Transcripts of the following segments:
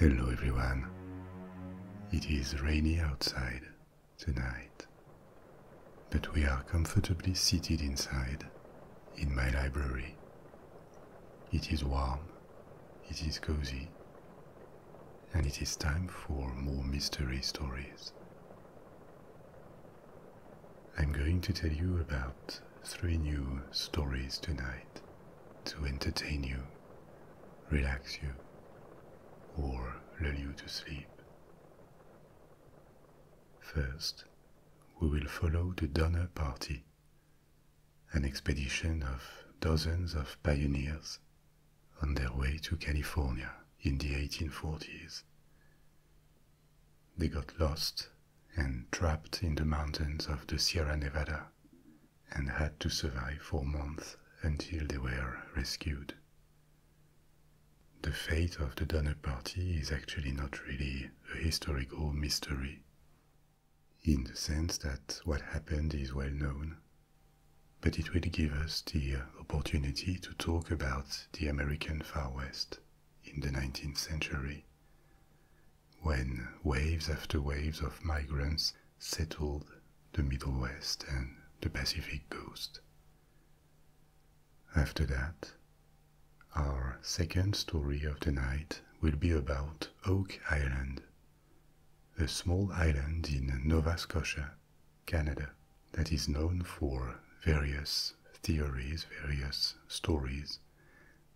Hello everyone. It is rainy outside tonight. But we are comfortably seated inside, in my library. It is warm, it is cozy, and it is time for more mystery stories. I'm going to tell you about three new stories tonight to entertain you, relax you, or lull you to sleep. First, we will follow the Donner Party, an expedition of dozens of pioneers on their way to California in the 1840s. They got lost and trapped in the mountains of the Sierra Nevada and had to survive for months until they were rescued the fate of the Donner Party is actually not really a historical mystery, in the sense that what happened is well known, but it will give us the opportunity to talk about the American Far West in the 19th century, when waves after waves of migrants settled the Middle West and the Pacific coast after that, our second story of the night will be about Oak Island, a small island in Nova Scotia, Canada, that is known for various theories, various stories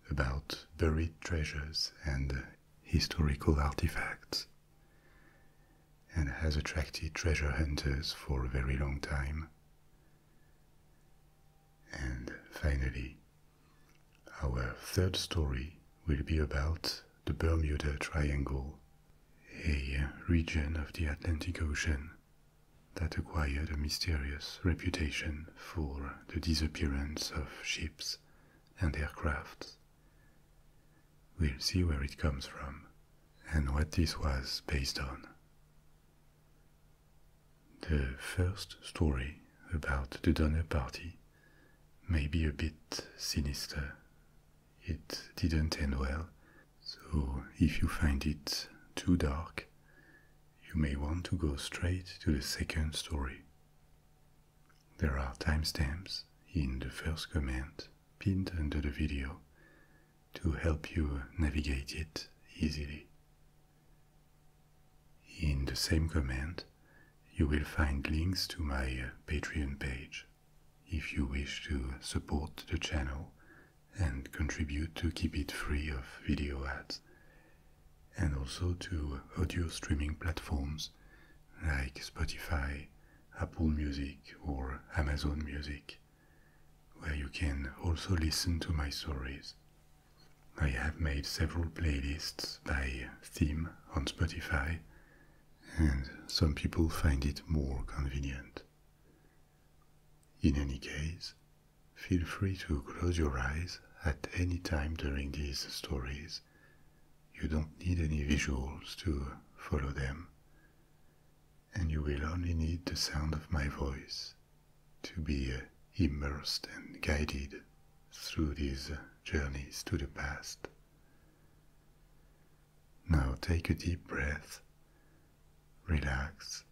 about buried treasures and historical artifacts, and has attracted treasure hunters for a very long time, and finally, our third story will be about the Bermuda Triangle, a region of the Atlantic Ocean that acquired a mysterious reputation for the disappearance of ships and aircrafts. We'll see where it comes from and what this was based on. The first story about the Donner Party may be a bit sinister. It didn't end well, so if you find it too dark, you may want to go straight to the second story. There are timestamps in the first comment pinned under the video to help you navigate it easily. In the same comment, you will find links to my uh, Patreon page if you wish to support the channel and contribute to keep it free of video ads, and also to audio streaming platforms like Spotify, Apple Music, or Amazon Music where you can also listen to my stories. I have made several playlists by theme on Spotify, and some people find it more convenient. In any case, feel free to close your eyes at any time during these stories. You don't need any visuals to follow them and you will only need the sound of my voice to be uh, immersed and guided through these uh, journeys to the past. Now take a deep breath, relax.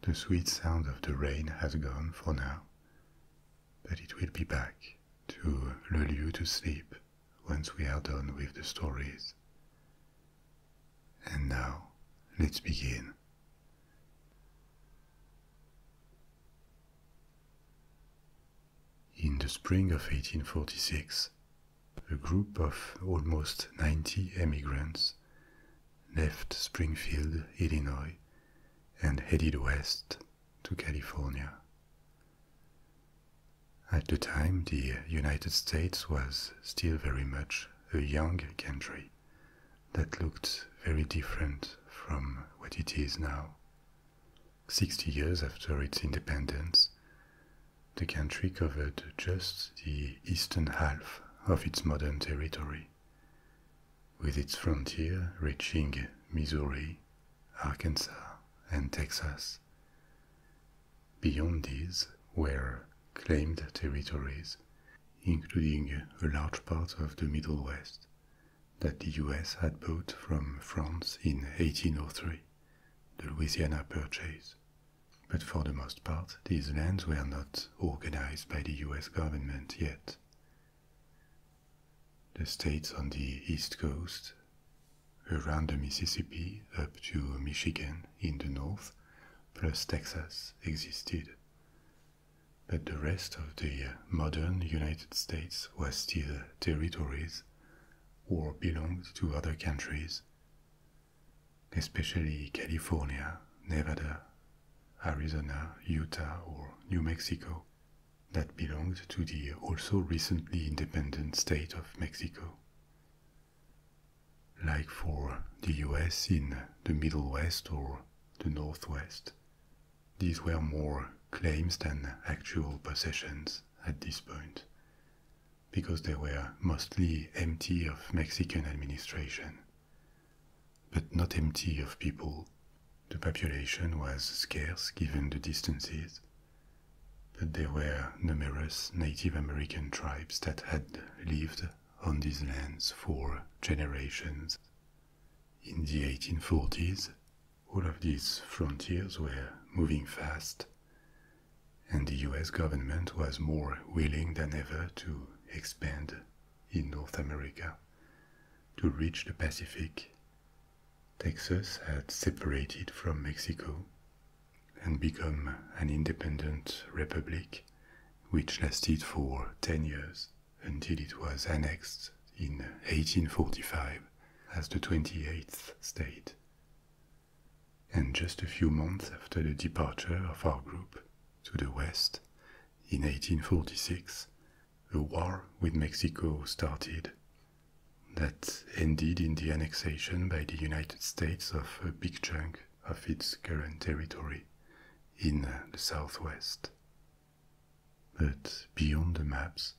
The sweet sound of the rain has gone for now, but it will be back to lull you to sleep once we are done with the stories. And now, let's begin. In the spring of 1846, a group of almost 90 emigrants left Springfield, Illinois, and headed west to California. At the time, the United States was still very much a young country that looked very different from what it is now. Sixty years after its independence, the country covered just the eastern half of its modern territory, with its frontier reaching Missouri, Arkansas, and Texas. Beyond these were claimed territories, including a large part of the Middle West that the US had bought from France in 1803, the Louisiana Purchase. But for the most part, these lands were not organized by the US government yet. The states on the East Coast, around the Mississippi up to Michigan in the north, plus Texas existed. But the rest of the modern United States was still territories or belonged to other countries, especially California, Nevada, Arizona, Utah, or New Mexico, that belonged to the also recently independent state of Mexico like for the US in the Middle West or the Northwest. These were more claims than actual possessions at this point, because they were mostly empty of Mexican administration, but not empty of people. The population was scarce given the distances, but there were numerous Native American tribes that had lived on these lands for generations. In the 1840s, all of these frontiers were moving fast, and the US government was more willing than ever to expand in North America to reach the Pacific. Texas had separated from Mexico and become an independent republic, which lasted for 10 years until it was annexed in 1845 as the 28th state. And just a few months after the departure of our group to the west, in 1846, a war with Mexico started that ended in the annexation by the United States of a big chunk of its current territory in uh, the southwest. But beyond the maps,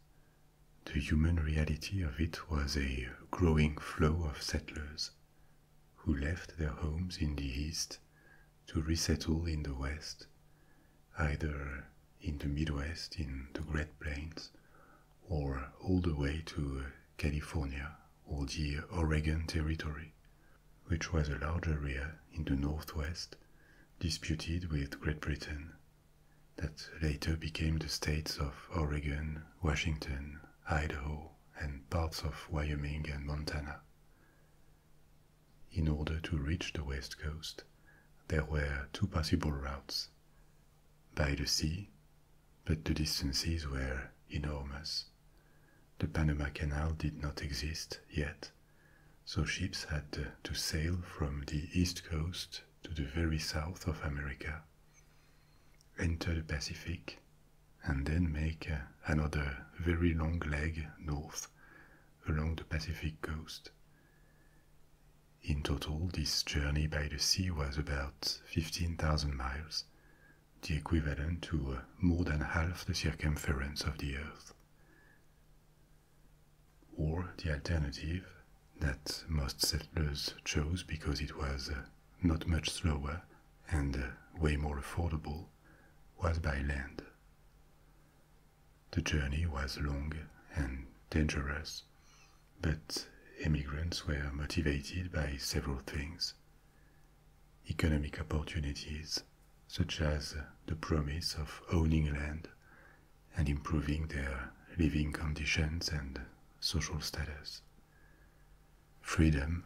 the human reality of it was a growing flow of settlers who left their homes in the east to resettle in the west, either in the Midwest in the Great Plains or all the way to uh, California or the Oregon Territory, which was a large area in the northwest disputed with Great Britain, that later became the states of Oregon, Washington, Idaho, and parts of Wyoming and Montana. In order to reach the west coast, there were two possible routes by the sea but the distances were enormous. The Panama Canal did not exist yet, so ships had to sail from the east coast to the very south of America, enter the Pacific, and then make uh, another very long leg north along the Pacific coast. In total, this journey by the sea was about 15,000 miles, the equivalent to uh, more than half the circumference of the Earth. Or the alternative that most settlers chose because it was uh, not much slower and uh, way more affordable was by land. The journey was long and dangerous, but emigrants were motivated by several things economic opportunities, such as the promise of owning land and improving their living conditions and social status. Freedom,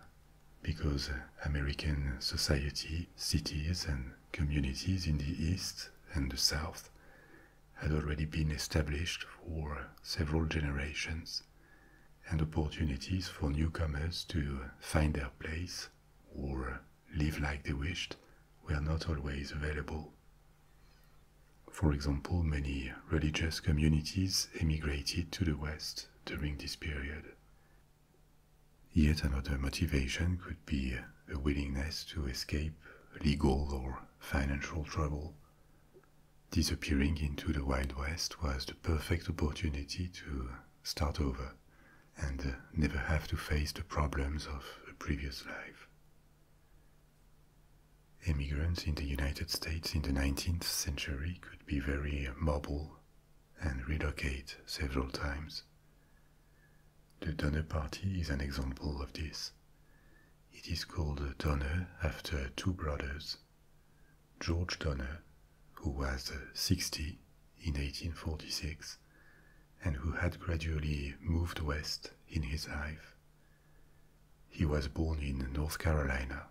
because American society, cities, and communities in the East and the South had already been established for several generations and opportunities for newcomers to find their place or live like they wished were not always available. For example, many religious communities emigrated to the West during this period. Yet another motivation could be a willingness to escape legal or financial trouble disappearing into the Wild West was the perfect opportunity to start over and uh, never have to face the problems of a previous life. Immigrants in the United States in the 19th century could be very uh, mobile and relocate several times. The Donner Party is an example of this. It is called Donner after two brothers George Donner, who was 60 in 1846 and who had gradually moved west in his life. He was born in North Carolina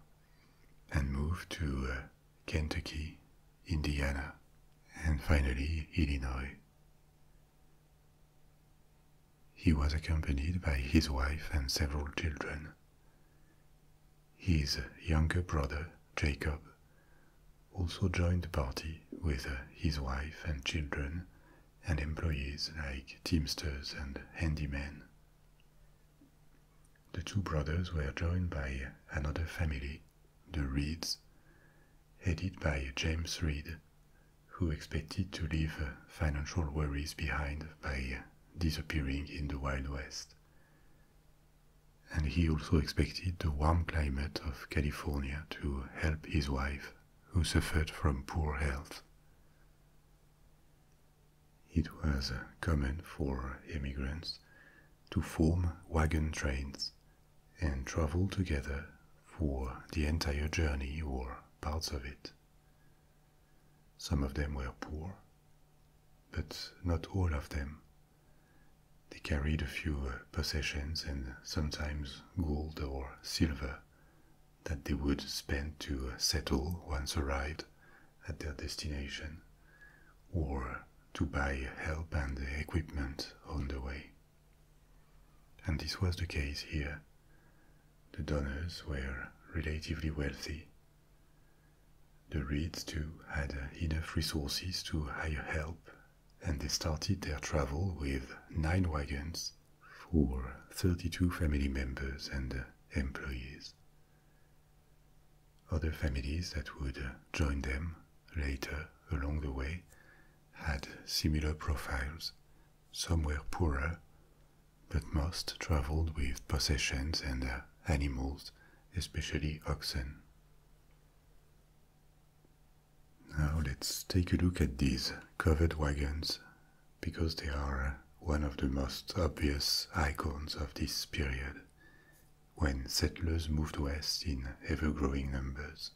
and moved to uh, Kentucky, Indiana, and finally Illinois. He was accompanied by his wife and several children his younger brother, Jacob, also joined the party with uh, his wife and children and employees like teamsters and handymen. The two brothers were joined by another family, the Reeds, headed by James Reed, who expected to leave uh, financial worries behind by disappearing in the Wild West and he also expected the warm climate of California to help his wife, who suffered from poor health. It was uh, common for immigrants to form wagon trains and travel together for the entire journey or parts of it. Some of them were poor but not all of them. They carried a few uh, possessions and sometimes gold or silver that they would spend to uh, settle once arrived at their destination or to buy help and equipment on the way. And this was the case here. The donors were relatively wealthy. The reeds, too, had enough resources to hire help, and they started their travel with nine wagons for 32 family members and uh, employees. Other families that would uh, join them later along the way had similar profiles. Some were poorer, but most traveled with possessions and uh, animals especially oxen. Now let's take a look at these covered wagons because they are one of the most obvious icons of this period when settlers moved west in ever-growing numbers.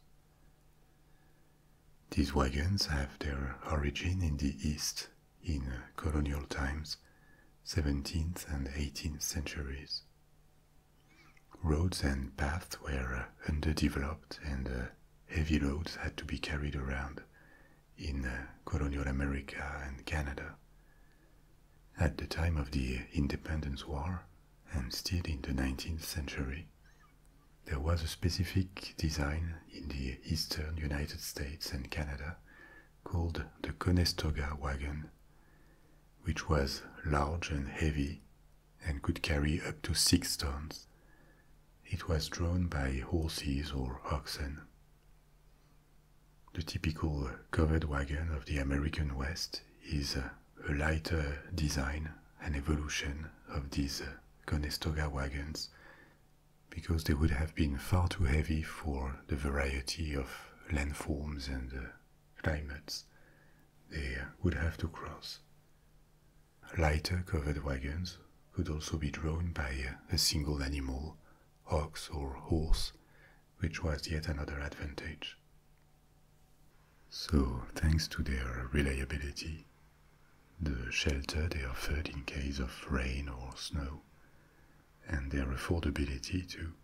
These wagons have their origin in the East in colonial times 17th and 18th centuries. Roads and paths were uh, underdeveloped and uh, heavy loads had to be carried around in uh, colonial America and Canada. At the time of the Independence War, and still in the 19th century, there was a specific design in the eastern United States and Canada called the Conestoga wagon, which was large and heavy and could carry up to six tons. It was drawn by horses or oxen. The typical covered wagon of the American West is a lighter design, an evolution of these uh, Conestoga wagons, because they would have been far too heavy for the variety of landforms and climates uh, they uh, would have to cross. Lighter covered wagons could also be drawn by uh, a single animal, ox or horse, which was yet another advantage. So, thanks to their reliability, the shelter they offered in case of rain or snow, and their affordability too,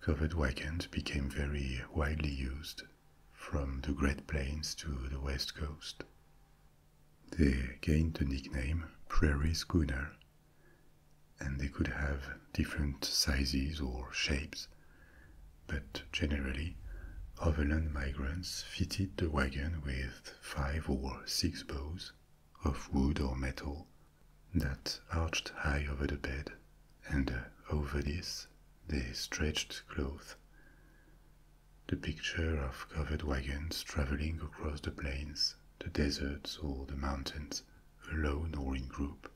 covered wagons became very widely used from the Great Plains to the West Coast. They gained the nickname prairie schooner, and they could have different sizes or shapes, but generally, overland migrants fitted the wagon with five or six bows of wood or metal that arched high over the bed, and uh, over this they stretched cloth. The picture of covered wagons traveling across the plains, the deserts, or the mountains, alone or in group,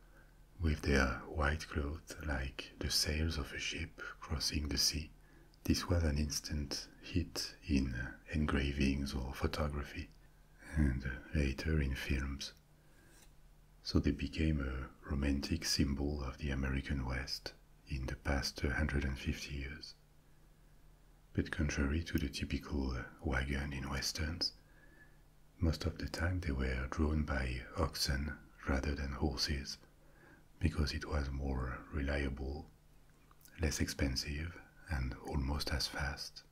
with their white cloth like the sails of a ship crossing the sea. This was an instant hit in uh, engravings or photography, and later in films. So they became a romantic symbol of the American West in the past 150 years. But contrary to the typical uh, wagon in westerns, most of the time they were drawn by oxen rather than horses because it was more reliable, less expensive, and almost as fast.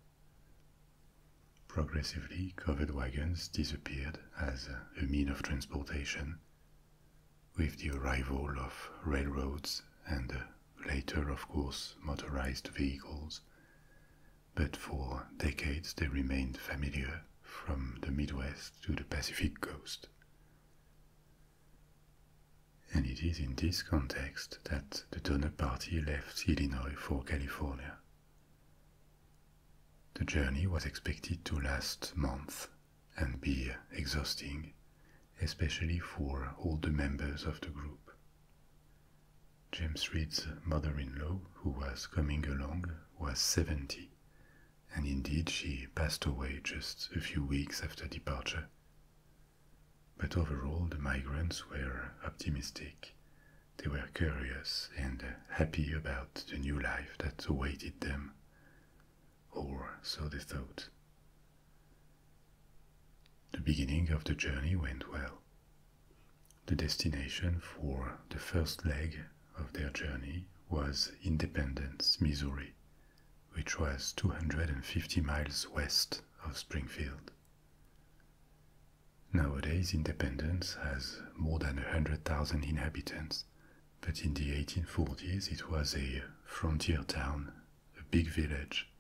Progressively, covered wagons disappeared as a means of transportation. With the arrival of railroads and uh, later, of course, motorized vehicles, but for decades they remained familiar from the Midwest to the Pacific coast. And it is in this context that the Donner Party left Illinois for California. The journey was expected to last months and be exhausting, especially for all the members of the group. James Reed's mother in law, who was coming along, was 70, and indeed she passed away just a few weeks after departure. But overall, the migrants were optimistic. They were curious and happy about the new life that awaited them. Or so they thought. The beginning of the journey went well. The destination for the first leg of their journey was Independence, Missouri, which was 250 miles west of Springfield. Nowadays, Independence has more than 100,000 inhabitants, but in the 1840s it was a frontier town, a big village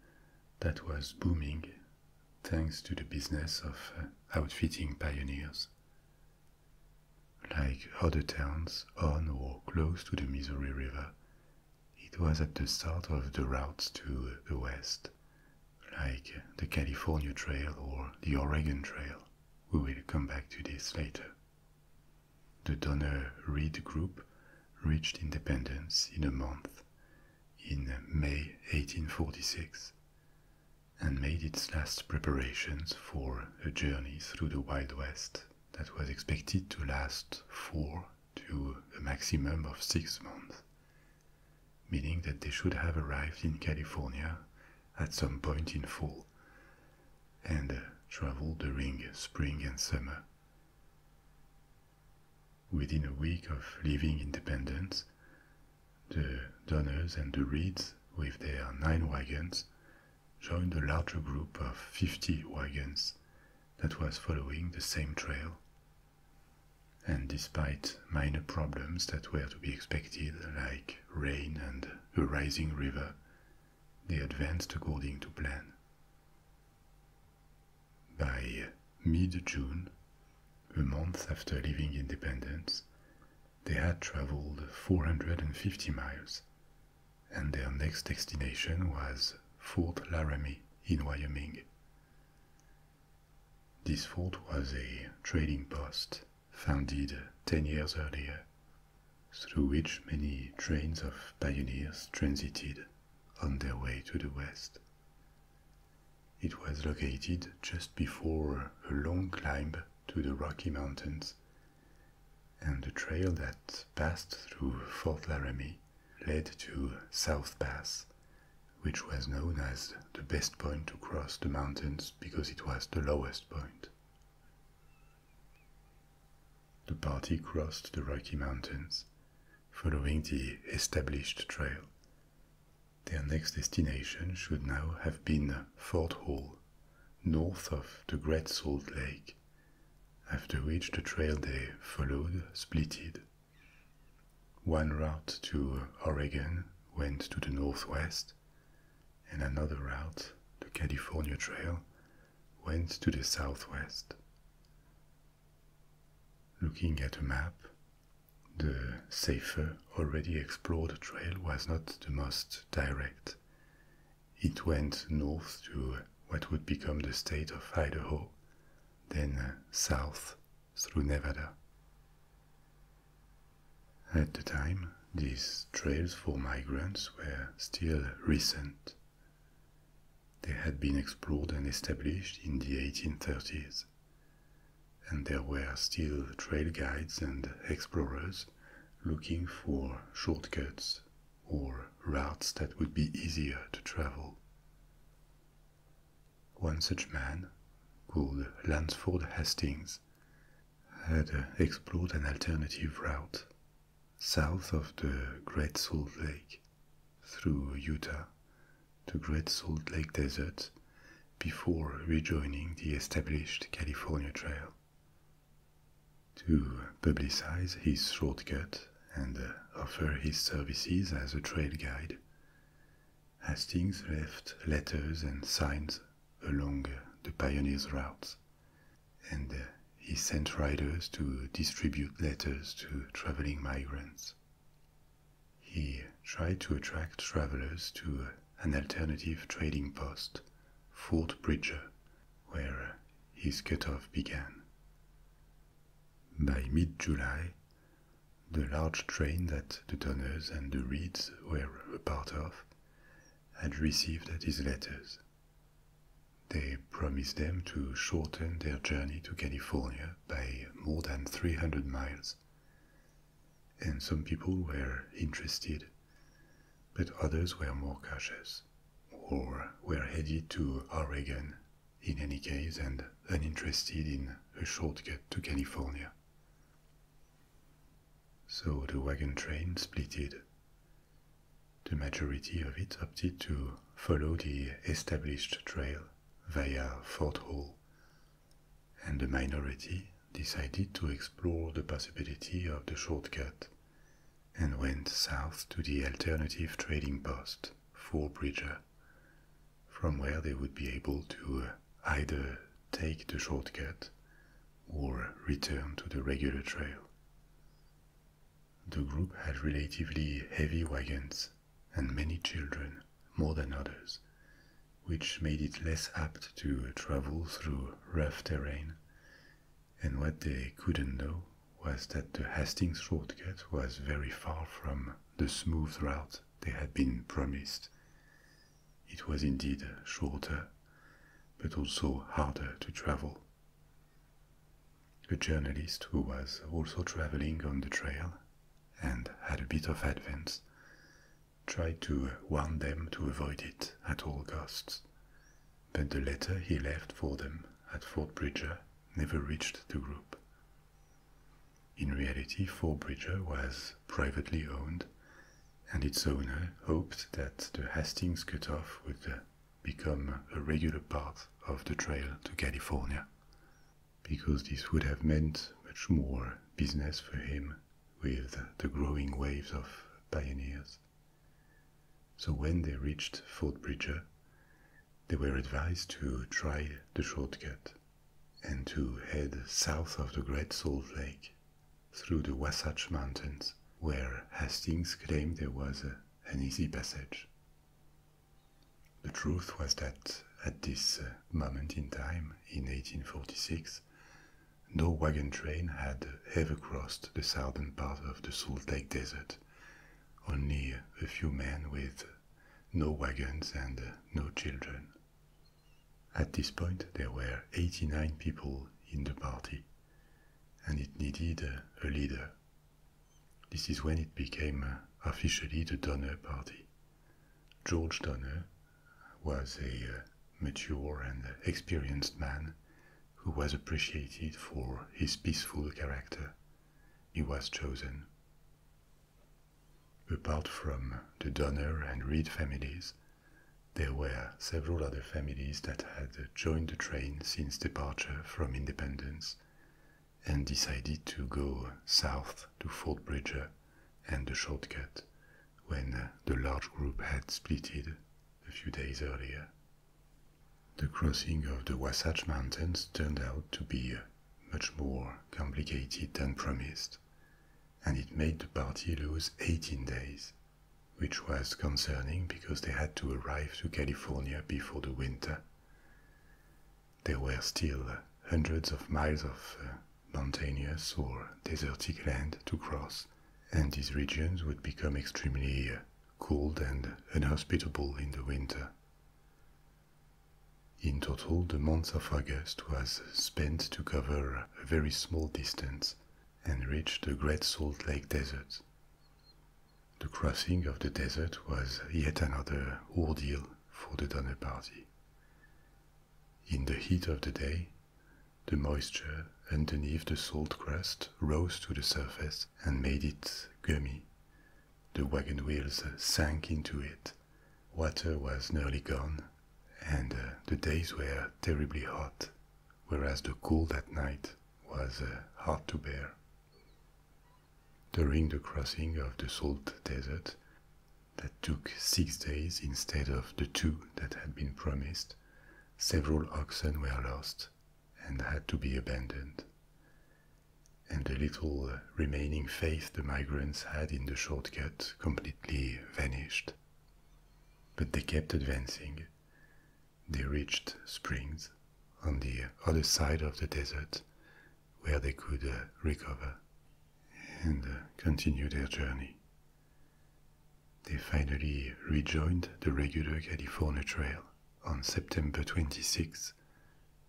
that was booming thanks to the business of uh, outfitting pioneers. Like other towns on or close to the Missouri River, it was at the start of the routes to the West like the California Trail or the Oregon Trail. We will come back to this later. The Donner Reed Group reached independence in a month, in May 1846, and made its last preparations for a journey through the Wild West that was expected to last four to a maximum of six months meaning that they should have arrived in California at some point in fall and uh, traveled during spring and summer. Within a week of leaving Independence, the Donners and the Reeds, with their nine wagons, joined a larger group of 50 wagons that was following the same trail and despite minor problems that were to be expected, like rain and a rising river, they advanced according to plan. By mid June, a month after leaving independence, they had traveled 450 miles, and their next destination was Fort Laramie in Wyoming. This fort was a trading post founded 10 years earlier, through which many trains of pioneers transited on their way to the west. It was located just before a long climb to the Rocky Mountains, and the trail that passed through Fort Laramie led to South Pass, which was known as the best point to cross the mountains because it was the lowest point. The party crossed the Rocky Mountains, following the established trail. Their next destination should now have been Fort Hall, north of the Great Salt Lake, after which the trail they followed splitted one route to Oregon went to the northwest, and another route, the California Trail, went to the southwest. Looking at a map, the safer, already explored trail was not the most direct. It went north to what would become the state of Idaho, then uh, south through Nevada. At the time, these trails for migrants were still recent. They had been explored and established in the 1830s, and there were still trail guides and explorers looking for shortcuts or routes that would be easier to travel. One such man, called Lansford Hastings, had explored an alternative route south of the Great Salt Lake through Utah to Great Salt Lake Desert before rejoining the established California Trail. To publicize his shortcut and offer his services as a trail guide, Hastings left letters and signs along the pioneers' routes, and he sent riders to distribute letters to traveling migrants. He tried to attract travelers to an alternative trading post, Fort Bridger, where his cutoff began. By mid July, the large train that the Donners and the Reeds were a part of, had received at his letters. They promised them to shorten their journey to California by more than 300 miles, and some people were interested, but others were more cautious, or were headed to Oregon in any case and uninterested in a shortcut to California. So the wagon train splitted. The majority of it opted to follow the established trail via Fort Hall, and the minority decided to explore the possibility of the shortcut and went south to the alternative trading post, Fort Bridger, from where they would be able to either take the shortcut or return to the regular trail. The group had relatively heavy wagons and many children, more than others, which made it less apt to travel through rough terrain. And what they couldn't know was that the Hastings shortcut was very far from the smooth route they had been promised. It was indeed shorter, but also harder to travel. A journalist who was also traveling on the trail and had a bit of advance tried to warn them to avoid it at all costs, but the letter he left for them at Fort Bridger never reached the group, in reality, Fort Bridger was privately owned, and its owner hoped that the Hastings cutoff would uh, become a regular part of the trail to California, because this would have meant much more business for him with the growing waves of pioneers. So when they reached Fort Bridger, they were advised to try the shortcut and to head south of the Great Salt Lake through the Wasatch Mountains, where Hastings claimed there was an easy passage. The truth was that at this uh, moment in time, in 1846, no wagon train had ever crossed the southern part of the Salt Lake Desert. Only a few men with no wagons and uh, no children. At this point, there were 89 people in the party, and it needed a leader. This is when it became uh, officially the Donner Party. George Donner was a uh, mature and experienced man who was appreciated for his peaceful character. He was chosen. Apart from the Donner and Reed families, there were several other families that had joined the train since departure from independence and decided to go south to Fort Bridger and the shortcut when the large group had splitted a few days earlier. The crossing of the Wasatch Mountains turned out to be much more complicated than promised, and it made the party lose 18 days, which was concerning because they had to arrive to California before the winter. There were still hundreds of miles of uh, mountainous or desertic land to cross, and these regions would become extremely uh, cold and inhospitable in the winter. In total, the month of August was spent to cover a very small distance and reach the Great Salt Lake Desert. The crossing of the desert was yet another ordeal for the Donner Party. In the heat of the day, the moisture underneath the salt crust rose to the surface and made it gummy. The wagon wheels sank into it water was nearly gone, and uh, the days were terribly hot, whereas the cool at night was uh, hard to bear. During the crossing of the Salt Desert, that took six days instead of the two that had been promised, several oxen were lost and had to be abandoned. And the little uh, remaining faith the migrants had in the shortcut completely vanished. But they kept advancing. They reached springs on the other side of the desert where they could uh, recover and uh, continue their journey. They finally rejoined the regular California Trail on September 26,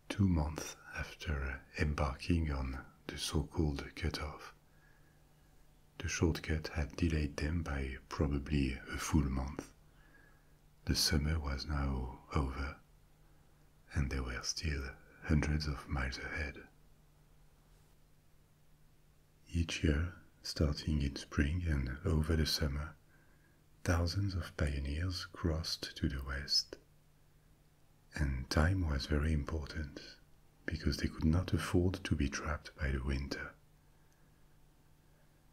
two months after uh, embarking on the so-called cutoff. The shortcut had delayed them by probably a full month. The summer was now over, and they were still hundreds of miles ahead. Each year, starting in spring and over the summer, thousands of pioneers crossed to the west. And time was very important because they could not afford to be trapped by the winter.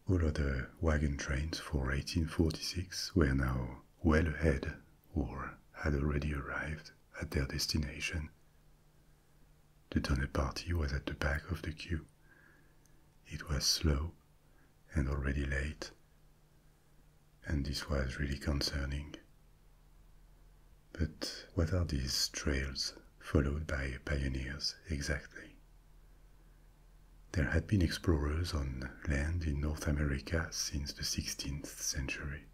All other wagon trains for 1846 were now well ahead or had already arrived at their destination. The Donner Party was at the back of the queue. It was slow and already late and this was really concerning. But what are these trails followed by pioneers exactly? There had been explorers on land in North America since the 16th century.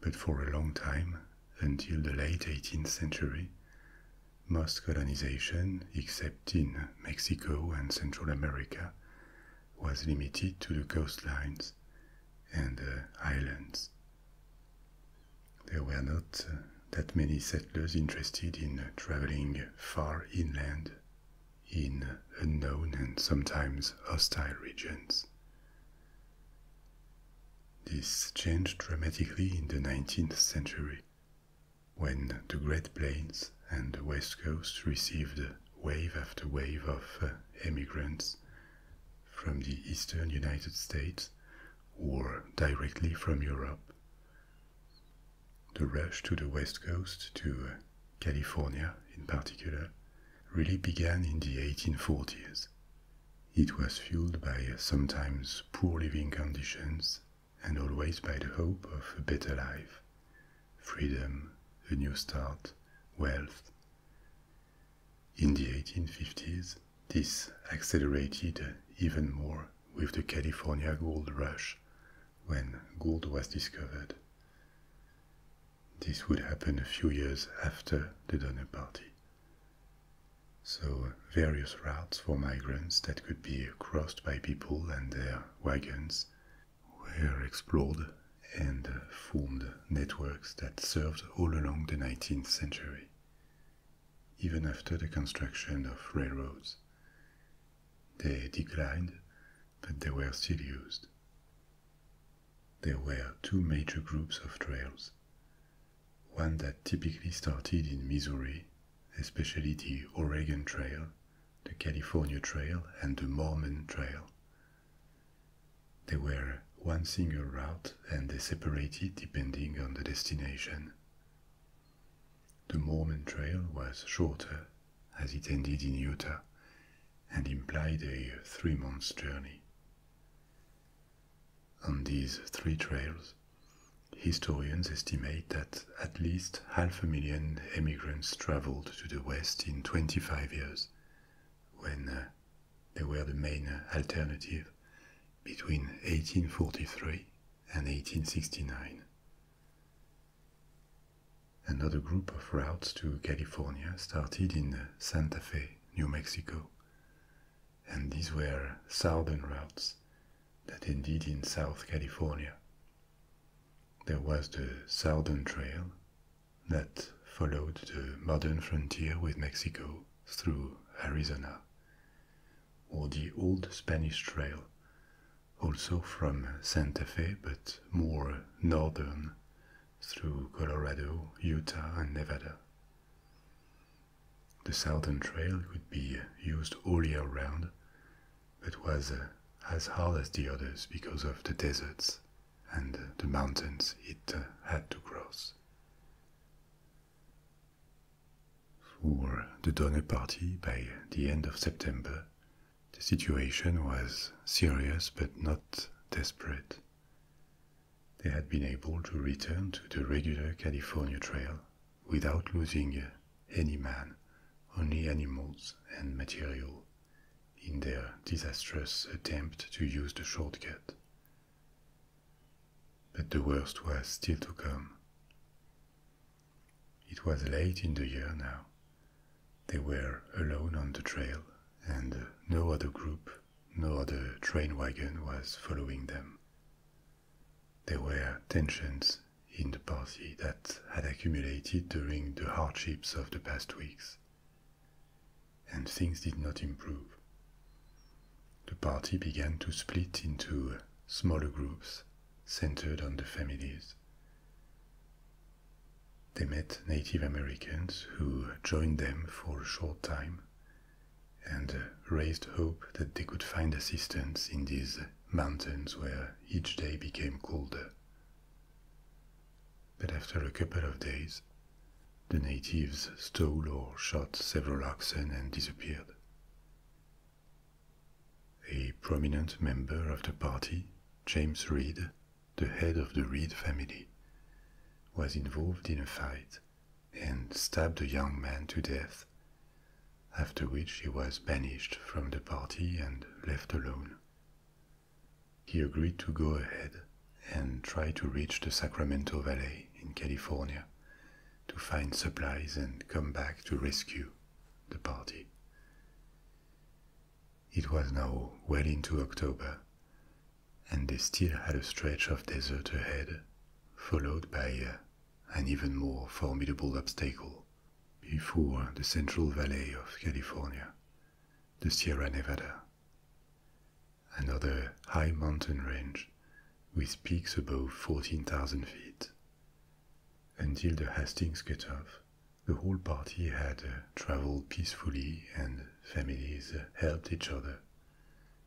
But for a long time, until the late 18th century, most colonization, except in Mexico and Central America, was limited to the coastlines and islands. There were not uh, that many settlers interested in uh, traveling far inland in uh, unknown and sometimes hostile regions. This changed dramatically in the 19th century when the Great Plains and the West Coast received wave after wave of emigrants from the eastern United States or directly from Europe. The rush to the west coast, to uh, California in particular, really began in the 1840s. It was fueled by uh, sometimes poor living conditions and always by the hope of a better life, freedom, a new start, wealth. In the 1850s, this accelerated even more with the California gold rush when gold was discovered. This would happen a few years after the Donner Party. So, various routes for migrants that could be crossed by people and their wagons were explored and uh, formed networks that served all along the 19th century, even after the construction of railroads. They declined, but they were still used. There were two major groups of trails one that typically started in Missouri, especially the Oregon Trail, the California Trail, and the Mormon Trail there were one single route and they separated depending on the destination. The Mormon Trail was shorter, as it ended in Utah, and implied a three months journey. On these three trails, historians estimate that at least half a million emigrants traveled to the West in 25 years, when uh, they were the main alternative between 1843 and 1869. Another group of routes to California started in uh, Santa Fe, New Mexico, and these were southern routes that ended in South California. There was the Southern Trail that followed the modern frontier with Mexico through Arizona, or the old Spanish Trail, also from Santa Fe but more northern through Colorado, Utah, and Nevada. The Southern Trail would be used all year round, but was uh, as hard as the others because of the deserts and uh, the mountains it uh, had to cross. For the Donner Party by the end of September, the situation was serious but not desperate. They had been able to return to the regular California Trail without losing any man, only animals and material in their disastrous attempt to use the shortcut. But the worst was still to come. It was late in the year now. They were alone on the trail, and no other group, no other train wagon was following them. There were tensions in the party that had accumulated during the hardships of the past weeks and things did not improve. The party began to split into smaller groups centered on the families. They met Native Americans who joined them for a short time and raised hope that they could find assistance in these mountains where each day became colder. But after a couple of days, the natives stole or shot several oxen and disappeared. A prominent member of the party, James Reed, the head of the Reed family, was involved in a fight and stabbed a young man to death, after which he was banished from the party and left alone. He agreed to go ahead and try to reach the Sacramento Valley in California to find supplies and come back to rescue the party. It was now well into October, and they still had a stretch of desert ahead, followed by uh, an even more formidable obstacle before the Central Valley of California, the Sierra Nevada another high mountain range with peaks above 14,000 feet. Until the Hastings off, the whole party had uh, traveled peacefully and families uh, helped each other,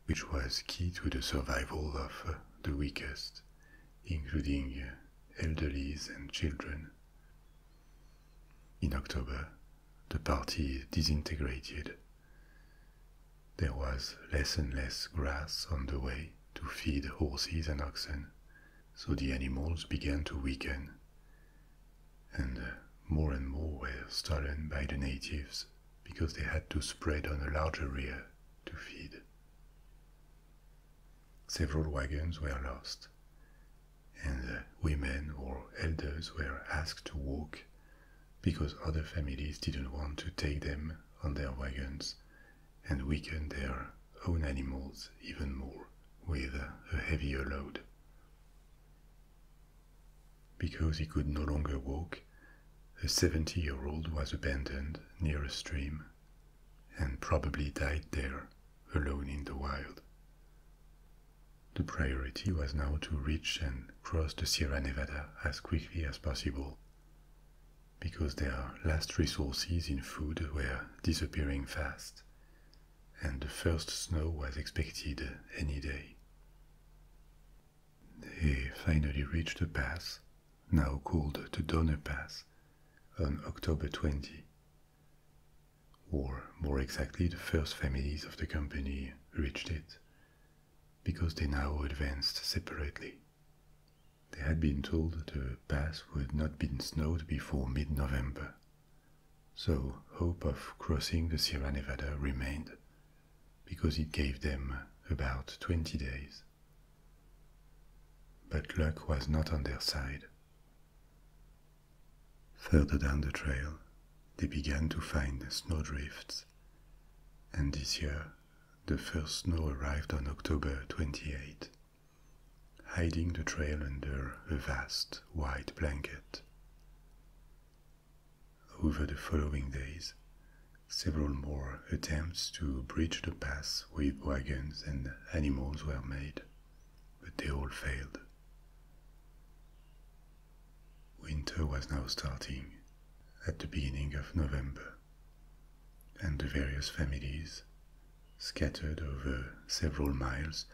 which was key to the survival of uh, the weakest, including elderly and children. In October, the party disintegrated. There was less and less grass on the way to feed horses and oxen, so the animals began to weaken, and more and more were stolen by the natives because they had to spread on a larger area to feed. Several wagons were lost, and women or elders were asked to walk because other families didn't want to take them on their wagons and weaken their own animals even more with a heavier load. Because he could no longer walk, the 70 year old was abandoned near a stream and probably died there alone in the wild. The priority was now to reach and cross the Sierra Nevada as quickly as possible, because their last resources in food were disappearing fast, and the first snow was expected any day. They finally reached the pass, now called the Donner Pass, on October 20 or more exactly, the first families of the company reached it, because they now advanced separately. They had been told the pass would not be snowed before mid November, so hope of crossing the Sierra Nevada remained, because it gave them about 20 days. But luck was not on their side. Further down the trail, they began to find snowdrifts, and this year the first snow arrived on October 28, hiding the trail under a vast white blanket. Over the following days, several more attempts to bridge the pass with wagons and animals were made, but they all failed. Winter was now starting at the beginning of November, and the various families, scattered over several miles,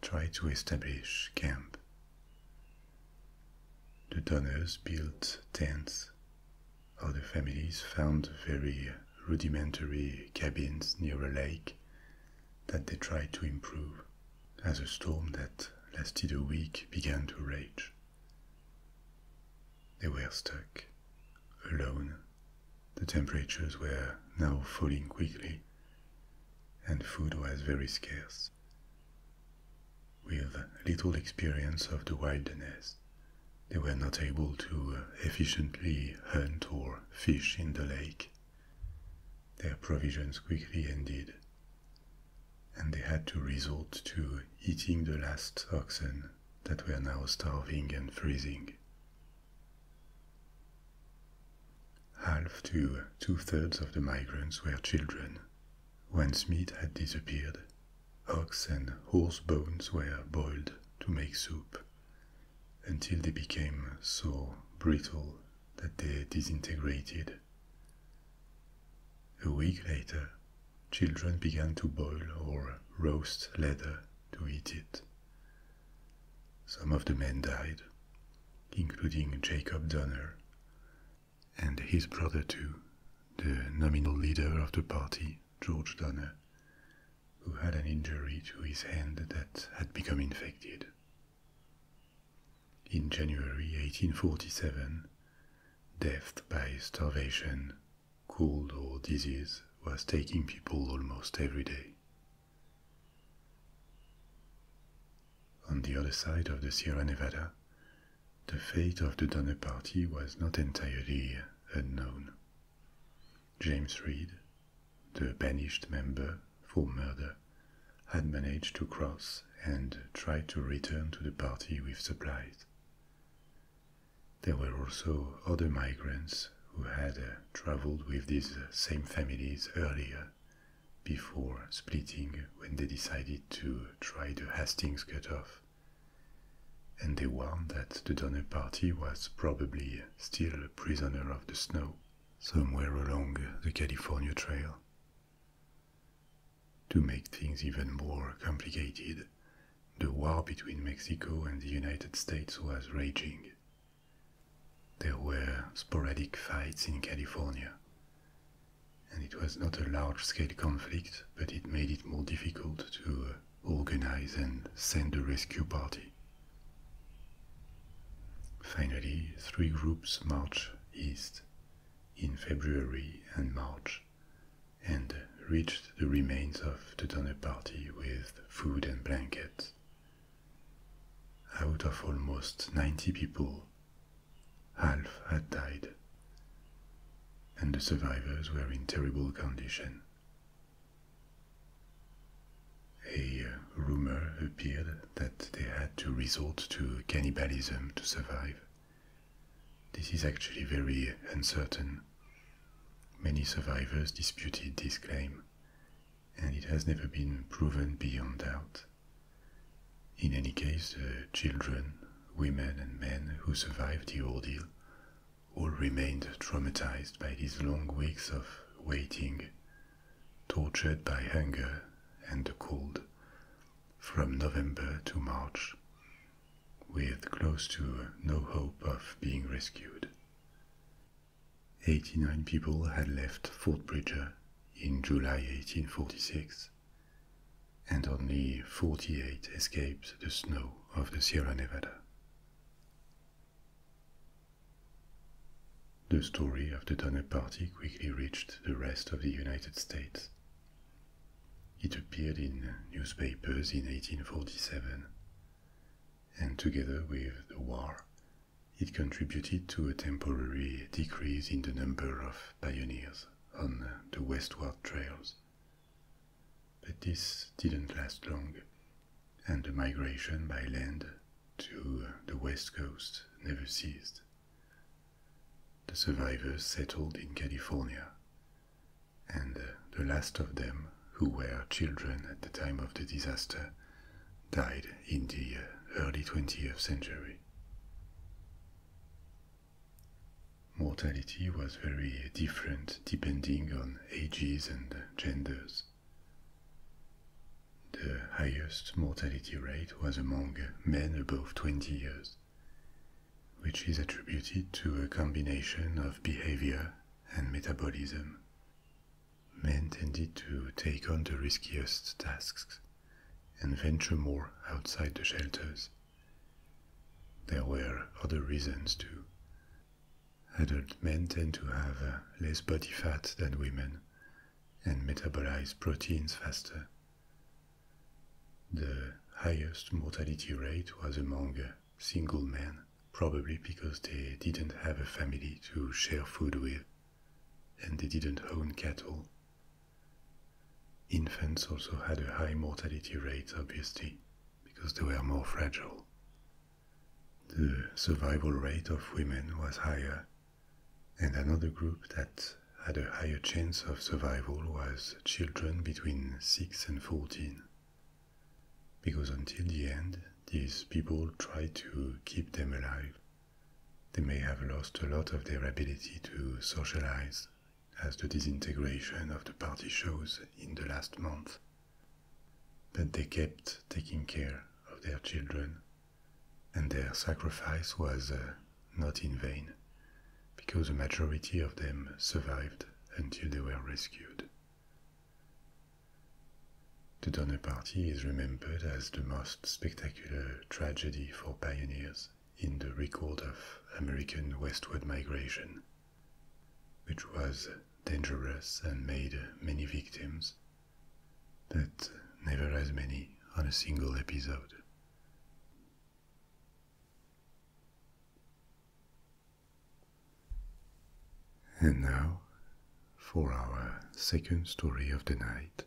tried to establish camp. The donors built tents, other families found very rudimentary cabins near a lake that they tried to improve as a storm that lasted a week began to rage. They were stuck, alone. The temperatures were now falling quickly, and food was very scarce. With little experience of the wilderness, they were not able to efficiently hunt or fish in the lake. Their provisions quickly ended, and they had to resort to eating the last oxen that were now starving and freezing. Half to two thirds of the migrants were children. Once meat had disappeared, oxen, horse bones were boiled to make soup until they became so brittle that they disintegrated a week later, children began to boil or roast leather to eat it. Some of the men died, including Jacob Donner and his brother too, the nominal leader of the party, George Donner, who had an injury to his hand that had become infected. In January 1847, death by starvation, cold or disease was taking people almost every day. On the other side of the Sierra Nevada, the fate of the Donner Party was not entirely unknown. James Reed, the banished member, for murder, had managed to cross and tried to return to the party with supplies. There were also other migrants who had uh, traveled with these same families earlier, before splitting when they decided to try the Hastings cutoff. And they warned that the Donner Party was probably still a prisoner of the snow somewhere along the California Trail, to make things even more complicated, the war between Mexico and the United States was raging. There were sporadic fights in California, and it was not a large scale conflict, but it made it more difficult to organize and send a rescue party. Finally, three groups marched east in February and March, and reached the remains of the Donner Party with food and blankets. Out of almost 90 people, half had died, and the survivors were in terrible condition. A rumor appeared that they had to resort to cannibalism to survive. This is actually very uncertain. Many survivors disputed this claim, and it has never been proven beyond doubt. In any case, the children, women, and men who survived the ordeal all remained traumatized by these long weeks of waiting, tortured by hunger and the cold, from November to March, with close to no hope of being rescued. 89 people had left Fort Bridger in July 1846, and only 48 escaped the snow of the Sierra Nevada. The story of the Donner Party quickly reached the rest of the United States. It appeared in newspapers in 1847, and together with the war, it contributed to a temporary decrease in the number of pioneers on the westward trails. But this didn't last long, and the migration by land to the west coast never ceased. The survivors settled in California, and uh, the last of them, who were children at the time of the disaster, died in the uh, early 20th century. Mortality was very different depending on ages and genders. The highest mortality rate was among men above 20 years, which is attributed to a combination of behavior and metabolism. Men tended to take on the riskiest tasks and venture more outside the shelters. There were other reasons too. Adult men tend to have less body fat than women and metabolize proteins faster. The highest mortality rate was among single men, probably because they didn't have a family to share food with, and they didn't own cattle. Infants also had a high mortality rate, obviously, because they were more fragile. The survival rate of women was higher and another group that had a higher chance of survival was children between 6 and 14. Because until the end, these people tried to keep them alive. They may have lost a lot of their ability to socialize, as the disintegration of the party shows in the last month. But they kept taking care of their children and their sacrifice was uh, not in vain, because a majority of them survived until they were rescued. The Donner Party is remembered as the most spectacular tragedy for pioneers in the record of American westward migration, which was dangerous and made many victims, but never as many on a single episode. And now, for our second story of the night,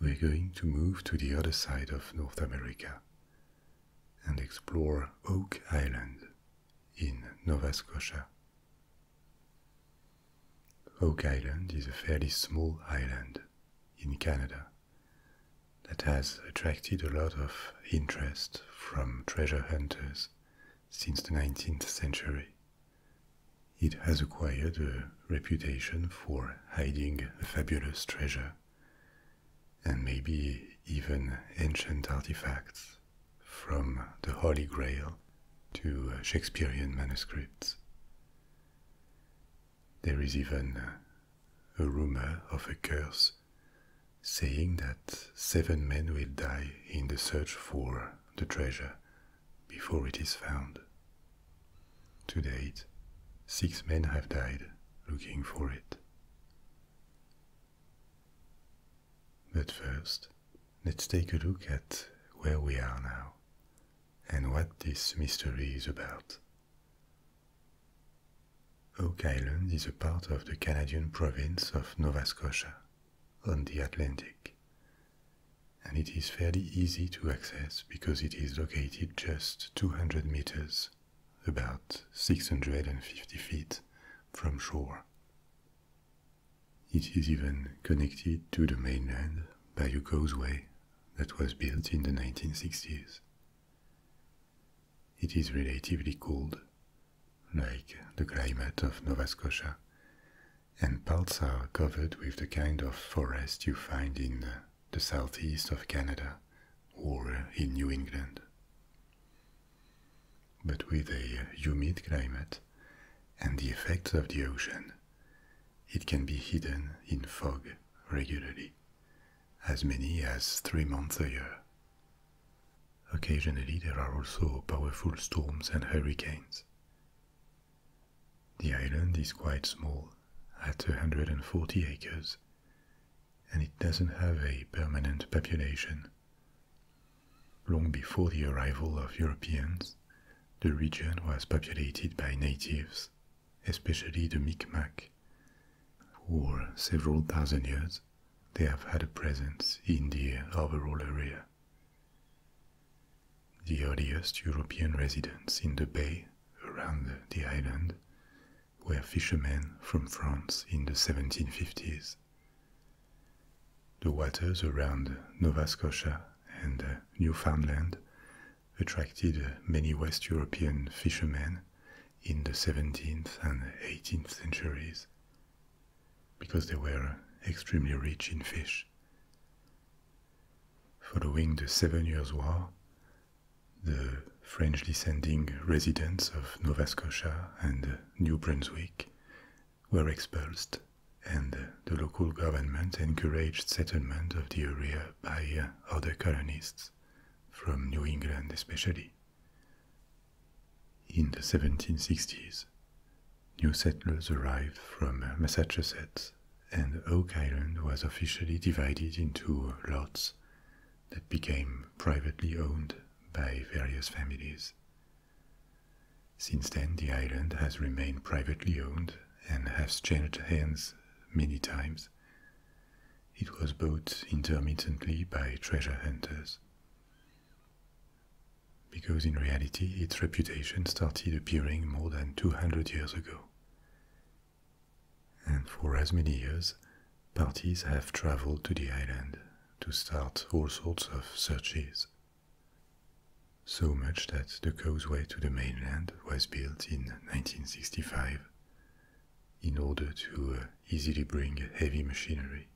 we're going to move to the other side of North America and explore Oak Island in Nova Scotia. Oak Island is a fairly small island in Canada that has attracted a lot of interest from treasure hunters since the 19th century. It has acquired a reputation for hiding fabulous treasure and maybe even ancient artifacts from the Holy Grail to uh, Shakespearean manuscripts. There is even a rumor of a curse saying that seven men will die in the search for the treasure before it is found. To date, six men have died looking for it. But first, let's take a look at where we are now and what this mystery is about. Oak Island is a part of the Canadian province of Nova Scotia on the Atlantic, and it is fairly easy to access because it is located just 200 meters, about 650 feet from shore. It is even connected to the mainland by a causeway that was built in the 1960s. It is relatively cold, like the climate of Nova Scotia, and parts are covered with the kind of forest you find in the southeast of Canada or in New England. But with a humid climate and the effects of the ocean, it can be hidden in fog regularly, as many as three months a year. Occasionally, there are also powerful storms and hurricanes. The island is quite small, at 240 acres, and it doesn't have a permanent population. Long before the arrival of Europeans, the region was populated by natives especially the Mi'kmaq. For several thousand years, they have had a presence in the overall area. The earliest European residents in the bay around the island were fishermen from France in the 1750s. The waters around Nova Scotia and Newfoundland attracted many West European fishermen in the 17th and 18th centuries because they were extremely rich in fish. Following the Seven Years' War, the French descending residents of Nova Scotia and New Brunswick were expelled, and the local government encouraged settlement of the area by uh, other colonists, from New England especially. In the 1760s, new settlers arrived from uh, Massachusetts, and Oak Island was officially divided into lots that became privately owned by various families. Since then, the island has remained privately owned and has changed hands many times. It was bought intermittently by treasure hunters. Because in reality, its reputation started appearing more than 200 years ago. And for as many years, parties have traveled to the island to start all sorts of searches. So much that the causeway to the mainland was built in 1965 in order to uh, easily bring heavy machinery.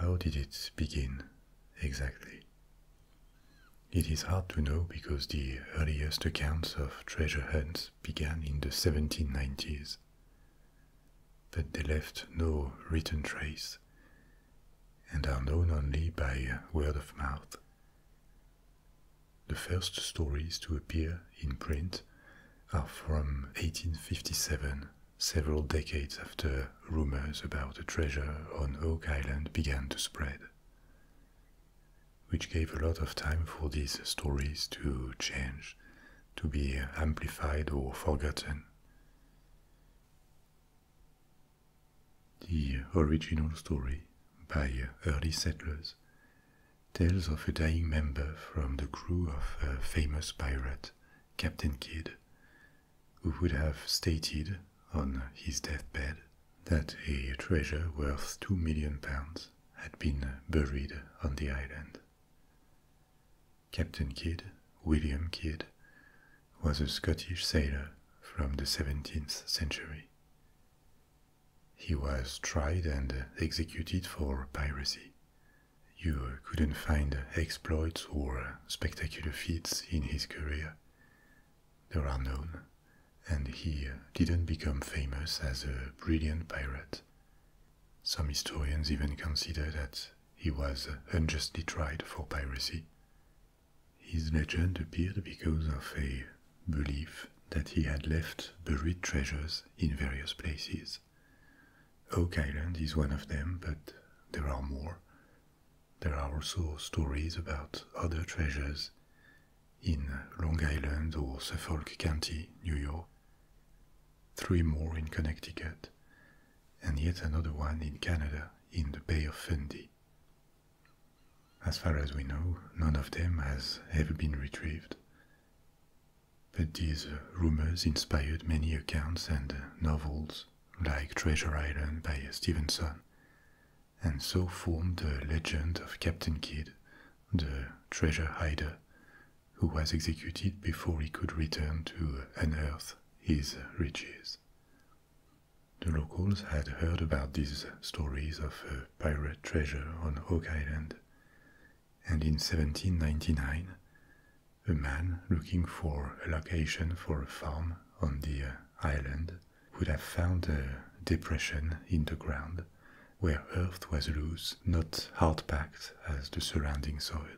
How did it begin exactly? It is hard to know because the earliest accounts of treasure hunts began in the 1790s, but they left no written trace and are known only by uh, word of mouth. The first stories to appear in print are from 1857, several decades after rumors about a treasure on Oak Island began to spread, which gave a lot of time for these stories to change, to be amplified or forgotten. The original story by early settlers tells of a dying member from the crew of a famous pirate, Captain Kidd, who would have stated on his deathbed that a treasure worth two million pounds had been buried on the island. Captain Kidd, William Kidd, was a Scottish sailor from the 17th century. He was tried and executed for piracy. You couldn't find exploits or spectacular feats in his career. There are none, and he didn't become famous as a brilliant pirate. Some historians even consider that he was unjustly tried for piracy, his legend appeared because of a belief that he had left buried treasures in various places. Oak Island is one of them, but there are more. There are also stories about other treasures in Long Island or Suffolk County, New York, three more in Connecticut, and yet another one in Canada in the Bay of Fundy. As far as we know, none of them has ever been retrieved. But these rumors inspired many accounts and novels, like Treasure Island by Stevenson, and so formed the legend of Captain Kidd, the treasure hider, who was executed before he could return to unearth his riches. The locals had heard about these stories of a pirate treasure on Oak Island, and in 1799, a man looking for a location for a farm on the island would have found a depression in the ground where earth was loose, not hard packed as the surrounding soil.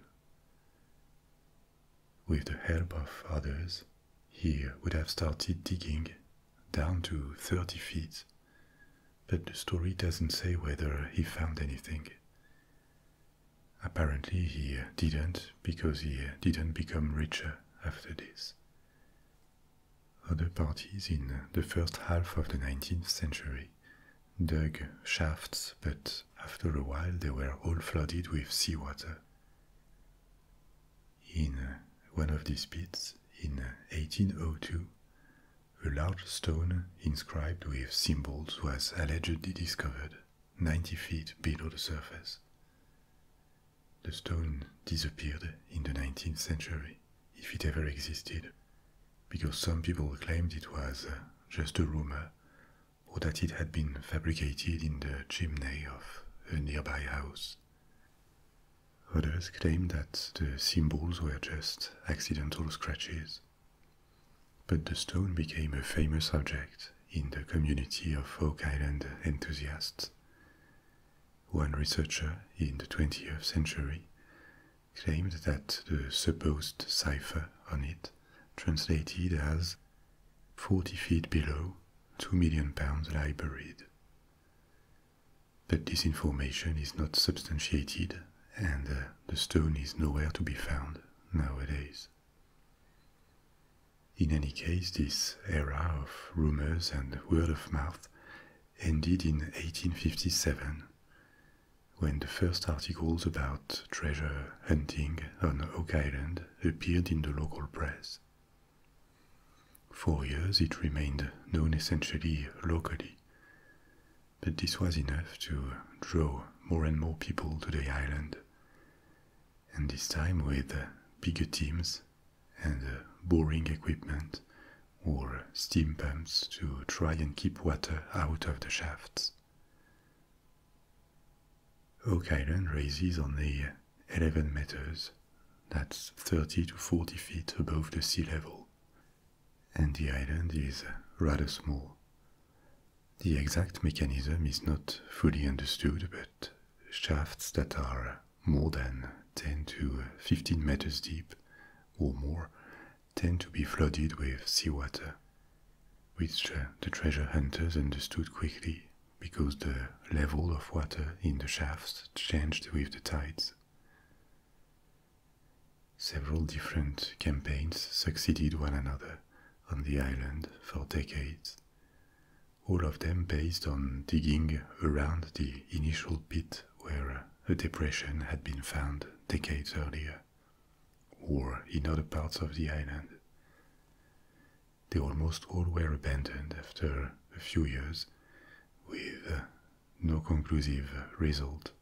With the help of others, he would have started digging down to 30 feet, but the story doesn't say whether he found anything. Apparently, he didn't because he didn't become richer after this. Other parties in the first half of the 19th century dug shafts, but after a while they were all flooded with seawater. In uh, one of these pits, in 1802, uh, a large stone inscribed with symbols was allegedly discovered 90 feet below the surface. The stone disappeared in the 19th century, if it ever existed, because some people claimed it was uh, just a rumor or that it had been fabricated in the chimney of a nearby house. Others claimed that the symbols were just accidental scratches. But the stone became a famous object in the community of Oak Island enthusiasts. One researcher in the 20th century claimed that the supposed cipher on it translated as 40 feet below two million pounds lie buried. But this information is not substantiated, and uh, the stone is nowhere to be found nowadays. In any case, this era of rumors and word of mouth ended in 1857 when the first articles about treasure hunting on Oak Island appeared in the local press. For years it remained known essentially locally, but this was enough to draw more and more people to the island, and this time with bigger teams and boring equipment or steam pumps to try and keep water out of the shafts. Oak Island rises only 11 meters, that's 30 to 40 feet above the sea level, and the island is rather small. The exact mechanism is not fully understood, but shafts that are more than 10 to 15 meters deep or more tend to be flooded with seawater, which uh, the treasure hunters understood quickly because the level of water in the shafts changed with the tides. Several different campaigns succeeded one another on the island for decades, all of them based on digging around the initial pit where a depression had been found decades earlier, or in other parts of the island. They almost all were abandoned after a few years, with uh, no conclusive result,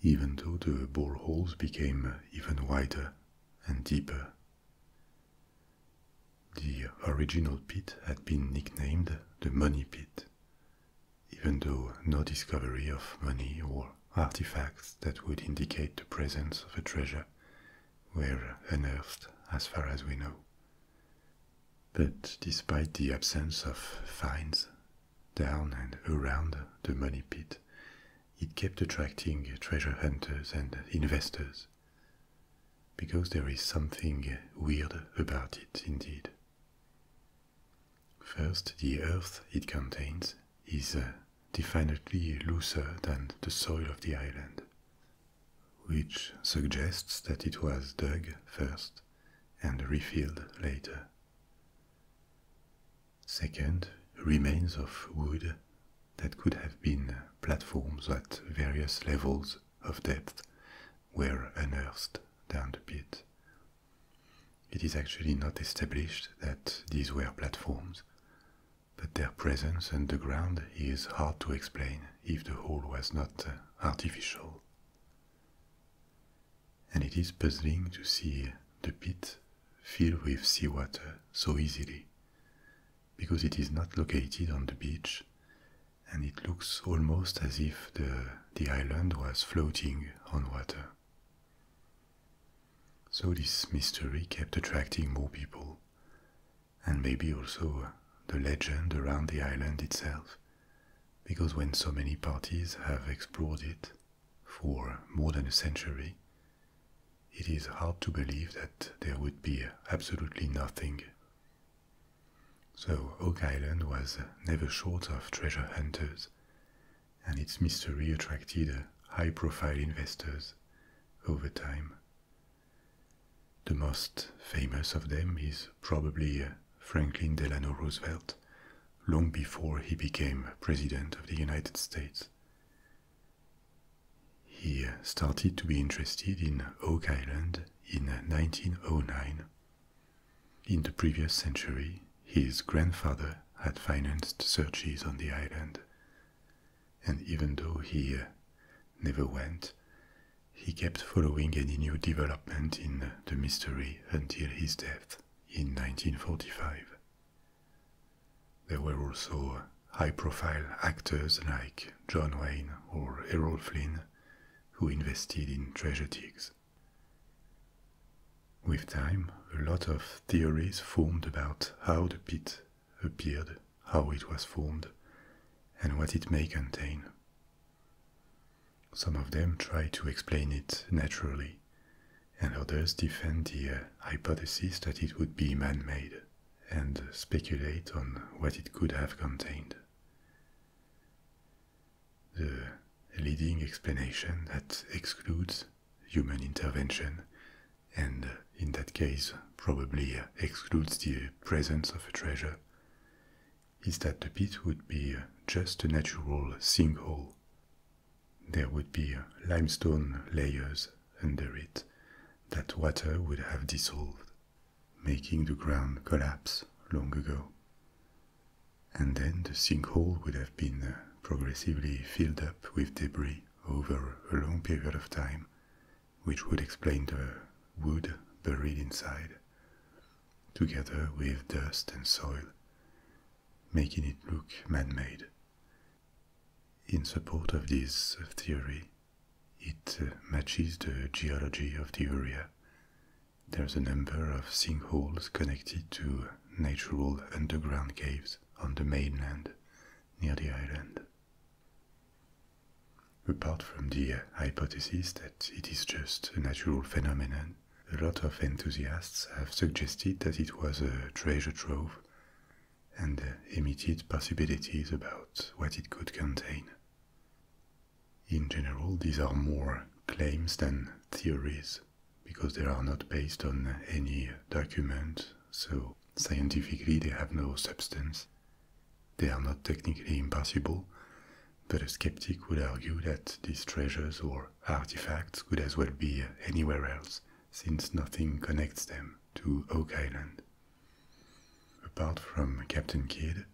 even though the boreholes became uh, even wider and deeper. The original pit had been nicknamed the Money Pit, even though no discovery of money or artifacts that would indicate the presence of a treasure were unearthed as far as we know. But despite the absence of finds down and around the money pit, it kept attracting treasure hunters and investors. Because there is something weird about it indeed. First, the earth it contains is uh, definitely looser than the soil of the island, which suggests that it was dug first and refilled later. Second, remains of wood that could have been platforms at various levels of depth were unearthed down the pit. It is actually not established that these were platforms, but their presence underground is hard to explain if the hole was not uh, artificial. And it is puzzling to see the pit filled with seawater so easily, because it is not located on the beach and it looks almost as if the, the island was floating on water. So this mystery kept attracting more people, and maybe also uh, the legend around the island itself, because when so many parties have explored it for more than a century, it is hard to believe that there would be absolutely nothing. So, Oak Island was never short of treasure hunters, and its mystery attracted high profile investors over time the most famous of them is probably uh, Franklin Delano Roosevelt, long before he became President of the United States. He uh, started to be interested in Oak Island in 1909. Uh, in the previous century, his grandfather had financed searches on the island, and even though he uh, never went, he kept following any new development in the mystery until his death in 1945. There were also high profile actors like John Wayne or Errol Flynn who invested in treasure digs. With time, a lot of theories formed about how the pit appeared, how it was formed, and what it may contain. Some of them try to explain it naturally, and others defend the uh, hypothesis that it would be man made and speculate on what it could have contained. The leading explanation that excludes human intervention and uh, in that case probably uh, excludes the presence of a treasure, is that the pit would be uh, just a natural sinkhole. There would be limestone layers under it that water would have dissolved, making the ground collapse long ago. And then the sinkhole would have been progressively filled up with debris over a long period of time which would explain the wood buried inside, together with dust and soil, making it look man made. In support of this theory, it matches the geology of the area. There's a number of sinkholes connected to natural underground caves on the mainland near the island. Apart from the hypothesis that it is just a natural phenomenon, a lot of enthusiasts have suggested that it was a treasure trove and emitted possibilities about what it could contain. In general, these are more claims than theories because they are not based on any document so scientifically they have no substance. They are not technically impossible, but a skeptic would argue that these treasures or artifacts could as well be anywhere else, since nothing connects them to Oak Island. Apart from Captain Kidd,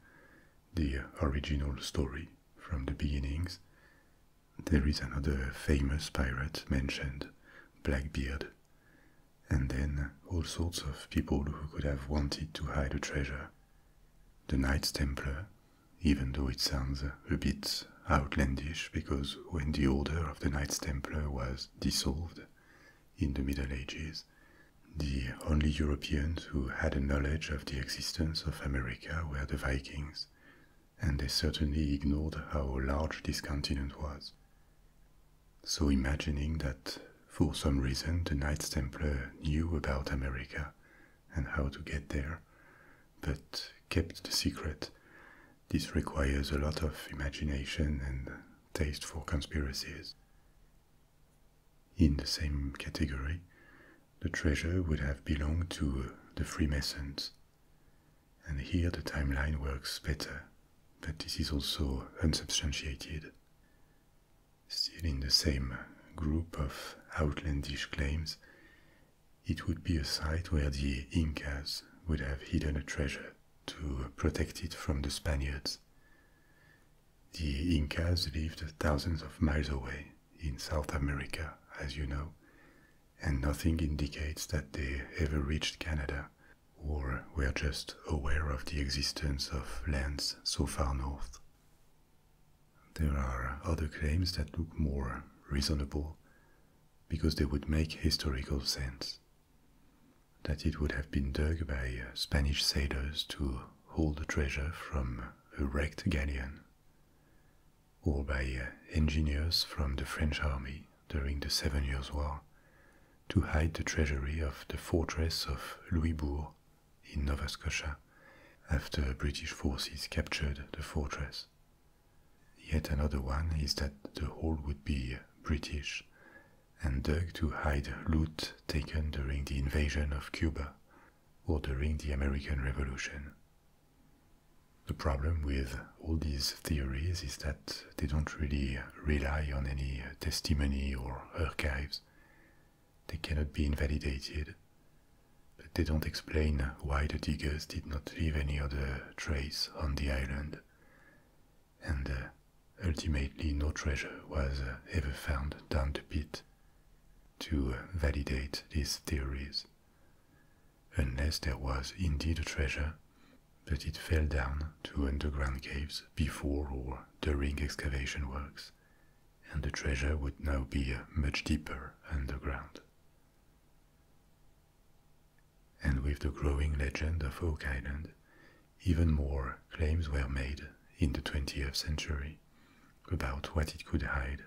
the original story from the beginnings, there is another famous pirate mentioned, Blackbeard, and then all sorts of people who could have wanted to hide a treasure. The Knights Templar, even though it sounds a bit outlandish because when the order of the Knights Templar was dissolved in the Middle Ages, the only Europeans who had a knowledge of the existence of America were the Vikings, and they certainly ignored how large this continent was. So, imagining that for some reason the Knights Templar knew about America and how to get there, but kept the secret, this requires a lot of imagination and taste for conspiracies. In the same category, the treasure would have belonged to the Freemasons. And here the timeline works better but this is also unsubstantiated. Still in the same group of outlandish claims, it would be a site where the Incas would have hidden a treasure to protect it from the Spaniards. The Incas lived thousands of miles away in South America, as you know, and nothing indicates that they ever reached Canada or we are just aware of the existence of lands so far north. There are other claims that look more reasonable because they would make historical sense. That it would have been dug by Spanish sailors to hold the treasure from a wrecked galleon, or by engineers from the French army during the Seven Years' War to hide the treasury of the fortress of Louisbourg in Nova Scotia after British forces captured the fortress. Yet another one is that the hole would be British and dug to hide loot taken during the invasion of Cuba or during the American Revolution. The problem with all these theories is that they don't really rely on any uh, testimony or archives. They cannot be invalidated, but they don't explain why the diggers did not leave any other trace on the island, and uh, ultimately no treasure was uh, ever found down the pit to validate these theories. Unless there was indeed a treasure, but it fell down to underground caves before or during excavation works, and the treasure would now be much deeper underground. And with the growing legend of Oak Island, even more claims were made in the 20th century about what it could hide.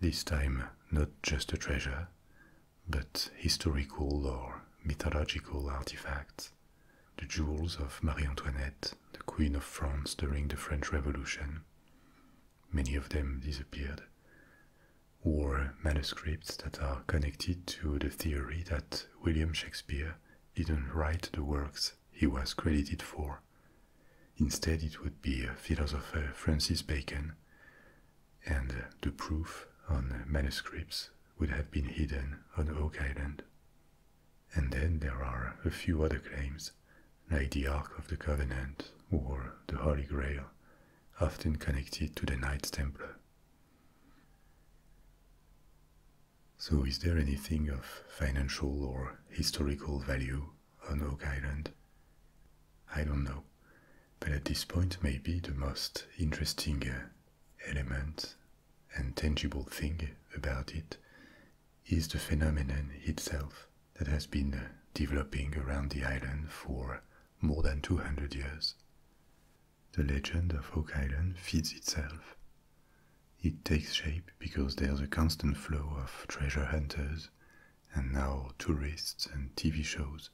This time, not just a treasure, but historical or mythological artifacts the jewels of Marie Antoinette, the Queen of France during the French Revolution. Many of them disappeared, or manuscripts that are connected to the theory that William Shakespeare didn't write the works he was credited for. Instead, it would be philosopher Francis Bacon, and the proof on manuscripts would have been hidden on Oak Island. And then there are a few other claims, like the Ark of the Covenant or the Holy Grail, often connected to the Knights Templar. So is there anything of financial or historical value on Oak Island? I don't know, but at this point maybe the most interesting uh, element and tangible thing about it is the phenomenon itself that has been developing around the island for more than 200 years. The legend of Oak Island feeds itself. It takes shape because there's a constant flow of treasure hunters and now tourists and TV shows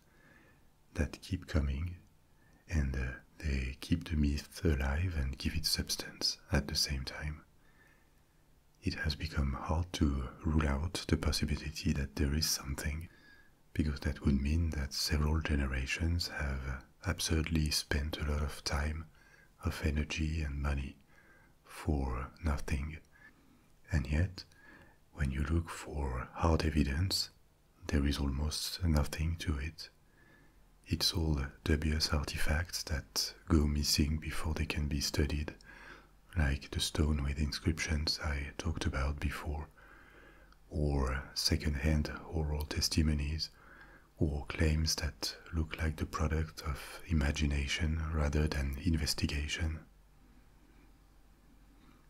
that keep coming and uh, they keep the myth alive and give it substance at the same time. It has become hard to rule out the possibility that there is something, because that would mean that several generations have absurdly spent a lot of time, of energy and money for nothing. And yet, when you look for hard evidence, there is almost nothing to it. It's all dubious artifacts that go missing before they can be studied, like the stone with inscriptions I talked about before, or second-hand oral testimonies, or claims that look like the product of imagination rather than investigation.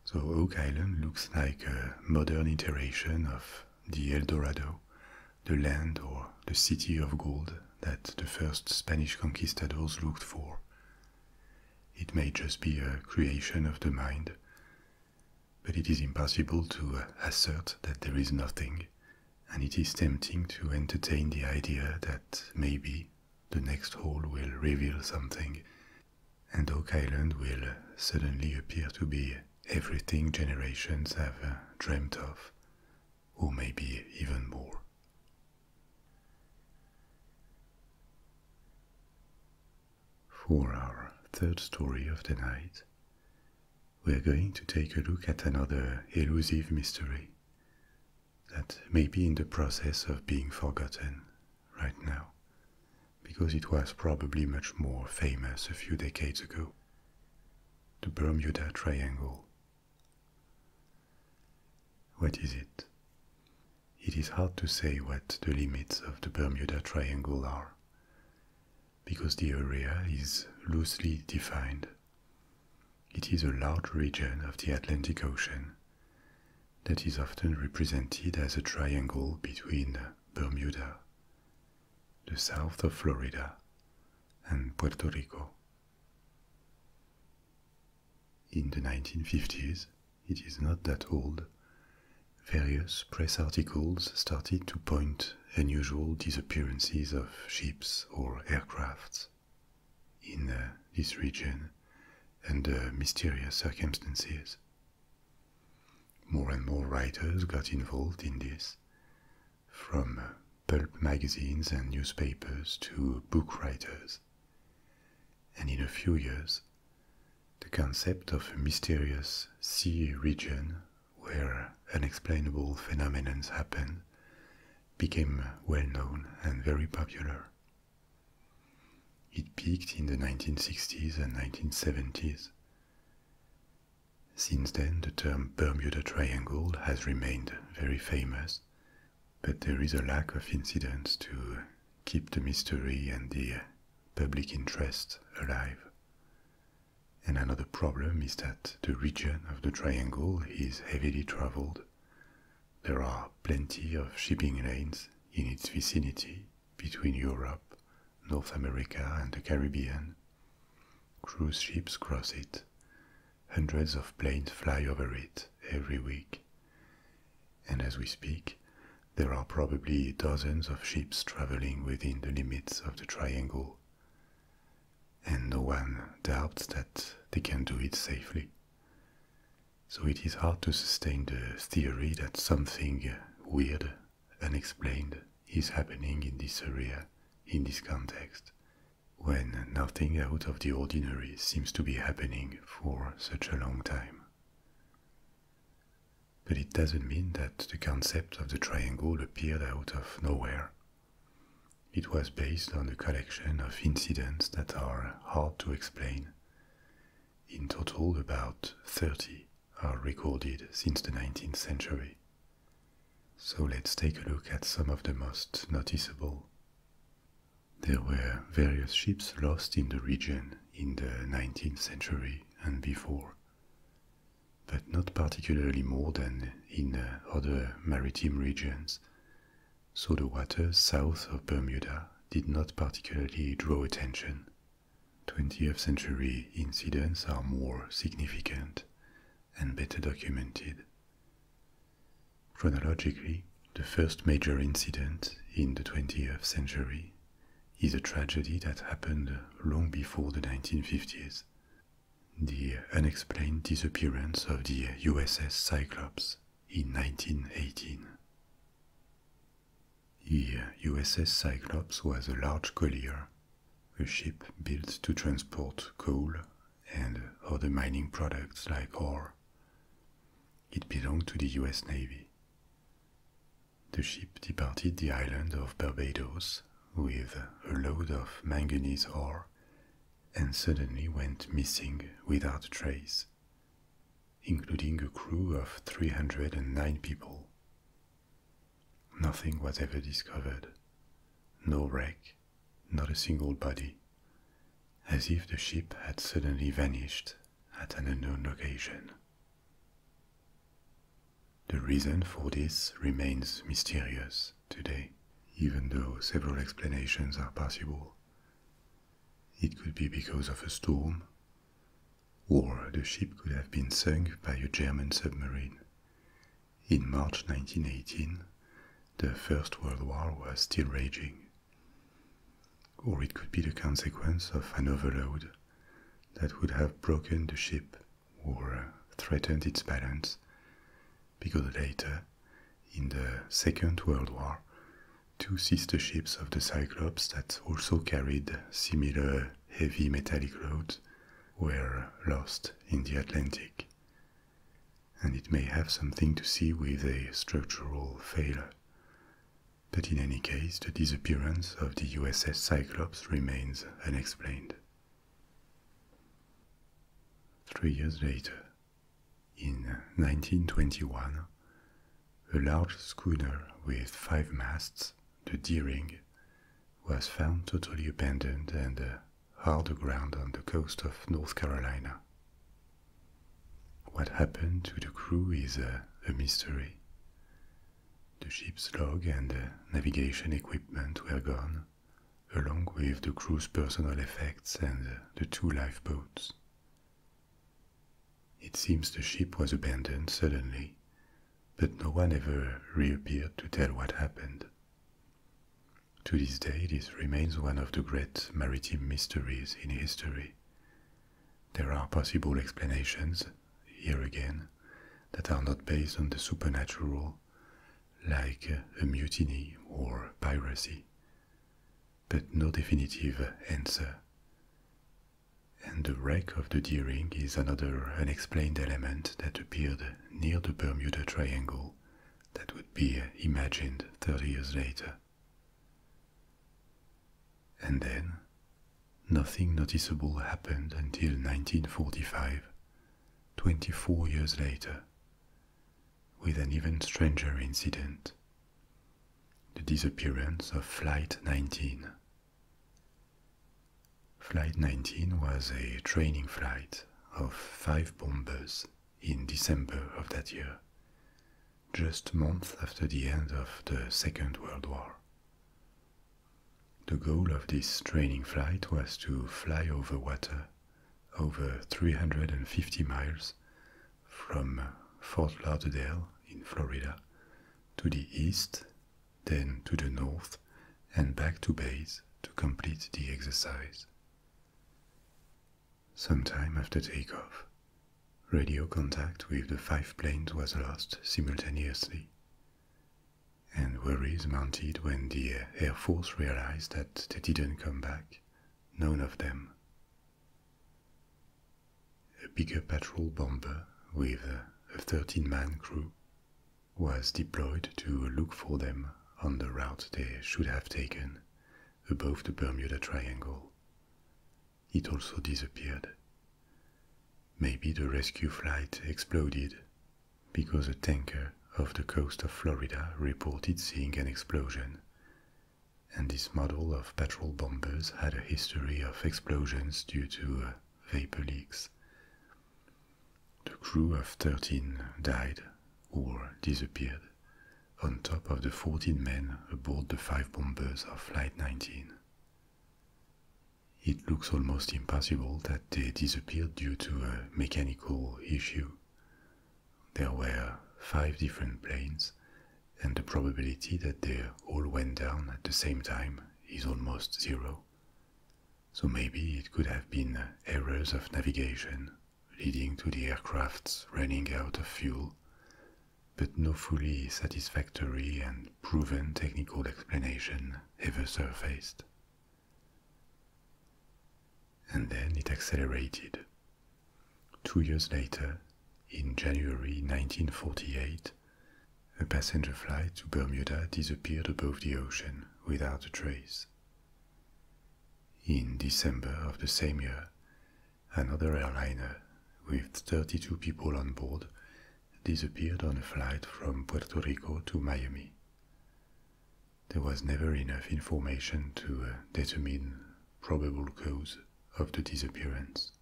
So Oak Island looks like a modern iteration of the El Dorado, the land or the city of gold that the first Spanish conquistadors looked for. It may just be a creation of the mind, but it is impossible to uh, assert that there is nothing, and it is tempting to entertain the idea that maybe the next hole will reveal something, and Oak Island will uh, suddenly appear to be everything generations have uh, dreamt of, or maybe even more. For our third story of the night, we are going to take a look at another elusive mystery that may be in the process of being forgotten right now, because it was probably much more famous a few decades ago. The Bermuda Triangle. What is it? It is hard to say what the limits of the Bermuda Triangle are, because the area is loosely defined. It is a large region of the Atlantic Ocean that is often represented as a triangle between Bermuda, the south of Florida, and Puerto Rico. In the 1950s, it is not that old, various press articles started to point unusual disappearances of ships or aircrafts in uh, this region under mysterious circumstances. More and more writers got involved in this, from pulp magazines and newspapers to book writers. And in a few years, the concept of a mysterious sea region where unexplainable phenomena happened became well known and very popular. It peaked in the 1960s and 1970s. Since then, the term Bermuda Triangle has remained very famous, but there is a lack of incidents to keep the mystery and the public interest alive. And another problem is that the region of the triangle is heavily traveled. There are plenty of shipping lanes in its vicinity between Europe North America and the Caribbean. Cruise ships cross it. Hundreds of planes fly over it every week. And as we speak, there are probably dozens of ships traveling within the limits of the triangle. And no one doubts that they can do it safely. So it is hard to sustain the theory that something weird unexplained is happening in this area, in this context, when nothing out of the ordinary seems to be happening for such a long time. But it doesn't mean that the concept of the triangle appeared out of nowhere. It was based on a collection of incidents that are hard to explain. In total, about 30 are recorded since the 19th century. So let's take a look at some of the most noticeable. There were various ships lost in the region in the 19th century and before, but not particularly more than in other maritime regions, so the waters south of Bermuda did not particularly draw attention 20th century incidents are more significant and better documented. Chronologically, the first major incident in the 20th century is a tragedy that happened long before the 1950s the unexplained disappearance of the USS Cyclops in 1918. The USS Cyclops was a large collier a ship built to transport coal and other mining products like ore. It belonged to the US Navy. The ship departed the island of Barbados with a load of manganese ore and suddenly went missing without trace, including a crew of 309 people. Nothing was ever discovered, no wreck, not a single body, as if the ship had suddenly vanished at an unknown location. The reason for this remains mysterious today, even though several explanations are possible. It could be because of a storm, or the ship could have been sunk by a German submarine in March 1918, the First World War was still raging. Or it could be the consequence of an overload that would have broken the ship or threatened its balance, because later, in the Second World War, two sister ships of the Cyclops that also carried similar heavy metallic loads were lost in the Atlantic. And it may have something to see with a structural failure. But in any case, the disappearance of the USS Cyclops remains unexplained. Three years later, in 1921, a large schooner with five masts, the Deering, was found totally abandoned and uh, hard aground on the coast of North Carolina. What happened to the crew is uh, a mystery. The ship's log and uh, navigation equipment were gone, along with the crew's personal effects and uh, the two lifeboats. It seems the ship was abandoned suddenly but no one ever reappeared to tell what happened. To this day, this remains one of the great maritime mysteries in history. There are possible explanations, here again, that are not based on the supernatural, like uh, a mutiny or piracy, but no definitive answer. And the wreck of the Deering is another unexplained element that appeared near the Bermuda Triangle that would be imagined 30 years later. And then, nothing noticeable happened until 1945, 24 years later, with an even stranger incident the disappearance of Flight 19 Flight 19 was a training flight of five bombers in December of that year, just months after the end of the Second World War. The goal of this training flight was to fly over water over 350 miles from Fort Lauderdale in Florida to the east then to the north and back to base to complete the exercise. Sometime after takeoff, radio contact with the five planes was lost simultaneously, and worries mounted when the Air Force realized that they didn't come back, none of them. A bigger patrol bomber with a 13 man crew was deployed to look for them on the route they should have taken above the Bermuda Triangle. It also disappeared. Maybe the rescue flight exploded because a tanker off the coast of Florida reported seeing an explosion, and this model of patrol bombers had a history of explosions due to uh, vapor leaks. The crew of 13 died or disappeared, on top of the 14 men aboard the five bombers of Flight 19. It looks almost impossible that they disappeared due to a mechanical issue. There were five different planes, and the probability that they all went down at the same time is almost zero so maybe it could have been uh, errors of navigation leading to the aircraft's running out of fuel, but no fully satisfactory and proven technical explanation ever surfaced. And then it accelerated. Two years later, in January 1948, a passenger flight to Bermuda disappeared above the ocean without a trace. In December of the same year, another airliner with 32 people on board disappeared on a flight from Puerto Rico to Miami. There was never enough information to uh, determine probable cause of the disappearance.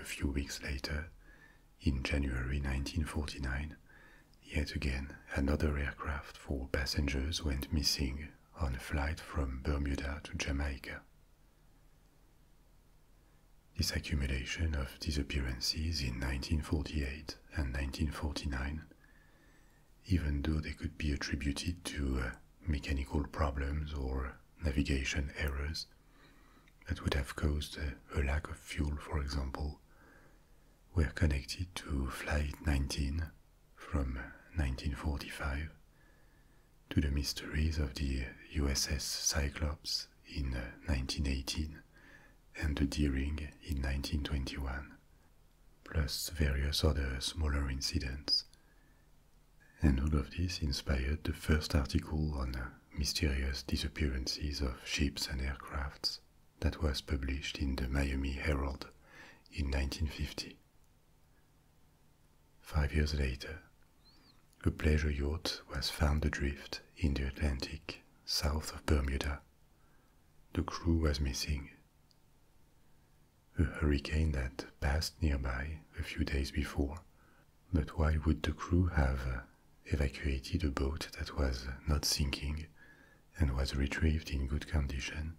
A few weeks later, in January 1949, Yet again, another aircraft for passengers went missing on a flight from Bermuda to Jamaica. This accumulation of disappearances in 1948 and 1949, even though they could be attributed to uh, mechanical problems or navigation errors that would have caused uh, a lack of fuel, for example, we're connected to Flight 19 from 1945 to the mysteries of the USS Cyclops in 1918 uh, and the Deering in 1921, plus various other smaller incidents. And all of this inspired the first article on uh, mysterious disappearances of ships and aircrafts that was published in the Miami Herald in 1950. Five years later, a pleasure yacht was found adrift in the Atlantic south of Bermuda. The crew was missing. A hurricane that passed nearby a few days before, but why would the crew have uh, evacuated a boat that was not sinking and was retrieved in good condition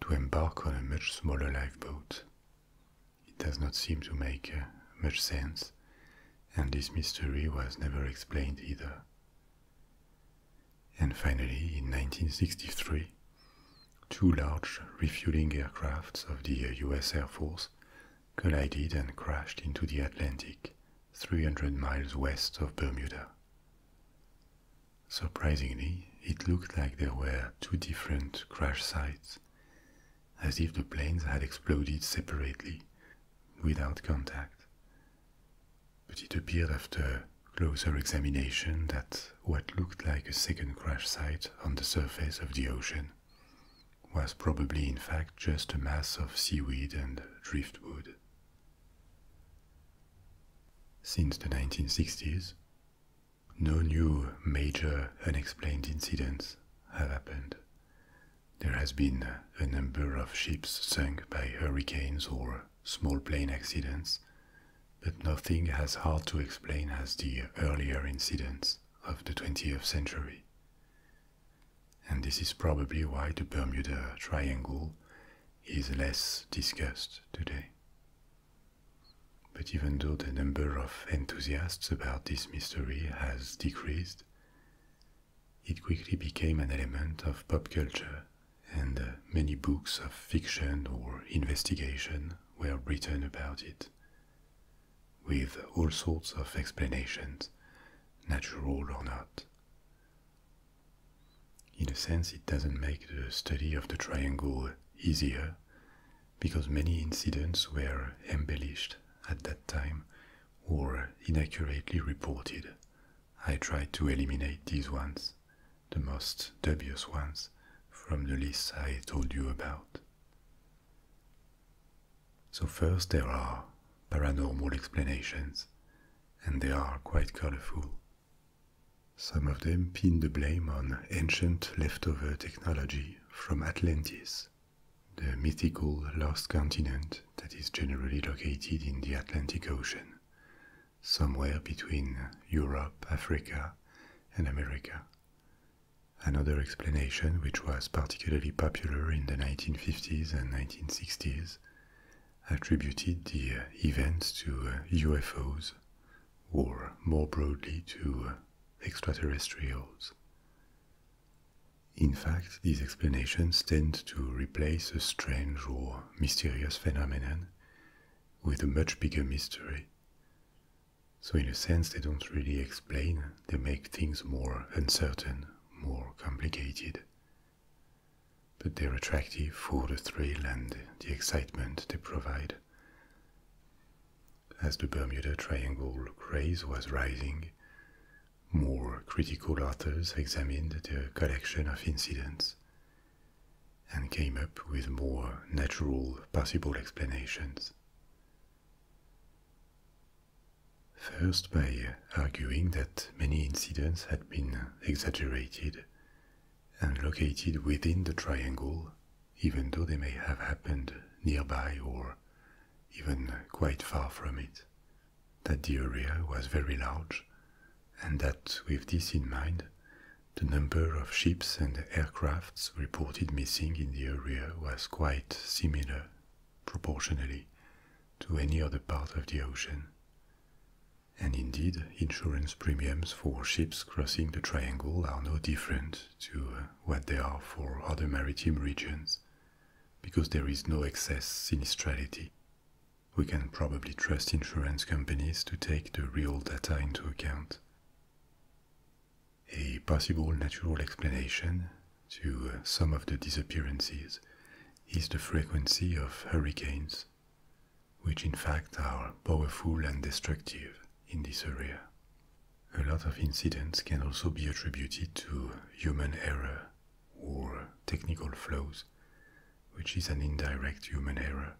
to embark on a much smaller lifeboat. It does not seem to make uh, much sense, and this mystery was never explained either. And finally, in 1963, two large refueling aircrafts of the US uh, Air Force collided and crashed into the Atlantic 300 miles west of Bermuda. Surprisingly, it looked like there were two different crash sites, as if the planes had exploded separately, without contact. But it appeared after closer examination that what looked like a second crash site on the surface of the ocean was probably in fact just a mass of seaweed and driftwood. Since the 1960s, no new major unexplained incidents have happened. There has been a number of ships sunk by hurricanes or small plane accidents, but nothing as hard to explain as the earlier incidents of the 20th century and this is probably why the Bermuda Triangle is less discussed today. But even though the number of enthusiasts about this mystery has decreased, it quickly became an element of pop culture, and uh, many books of fiction or investigation were written about it, with all sorts of explanations, natural or not. In a sense, it doesn't make the study of the triangle easier because many incidents were embellished at that time or inaccurately reported. I tried to eliminate these ones, the most dubious ones, from the list I told you about. So, first, there are paranormal explanations, and they are quite colorful. Some of them pin the blame on ancient leftover technology from Atlantis, the mythical lost continent that is generally located in the Atlantic Ocean, somewhere between Europe, Africa, and America. Another explanation, which was particularly popular in the 1950s and 1960s, attributed the uh, events to UFOs, uh, or more broadly to uh, extraterrestrials. In fact, these explanations tend to replace a strange or mysterious phenomenon with a much bigger mystery. So, in a sense, they don't really explain, they make things more uncertain, more complicated, but they're attractive for the thrill and the excitement they provide. As the Bermuda Triangle craze was rising, more critical authors examined the collection of incidents and came up with more natural possible explanations. First, by arguing that many incidents had been exaggerated and located within the triangle, even though they may have happened nearby or even quite far from it, that the area was very large, and that with this in mind, the number of ships and aircrafts reported missing in the area was quite similar proportionally to any other part of the ocean. And indeed, insurance premiums for ships crossing the triangle are no different to uh, what they are for other maritime regions, because there is no excess sinistrality. We can probably trust insurance companies to take the real data into account. A possible natural explanation to uh, some of the disappearances is the frequency of hurricanes, which in fact are powerful and destructive in this area. A lot of incidents can also be attributed to human error or technical flaws, which is an indirect human error.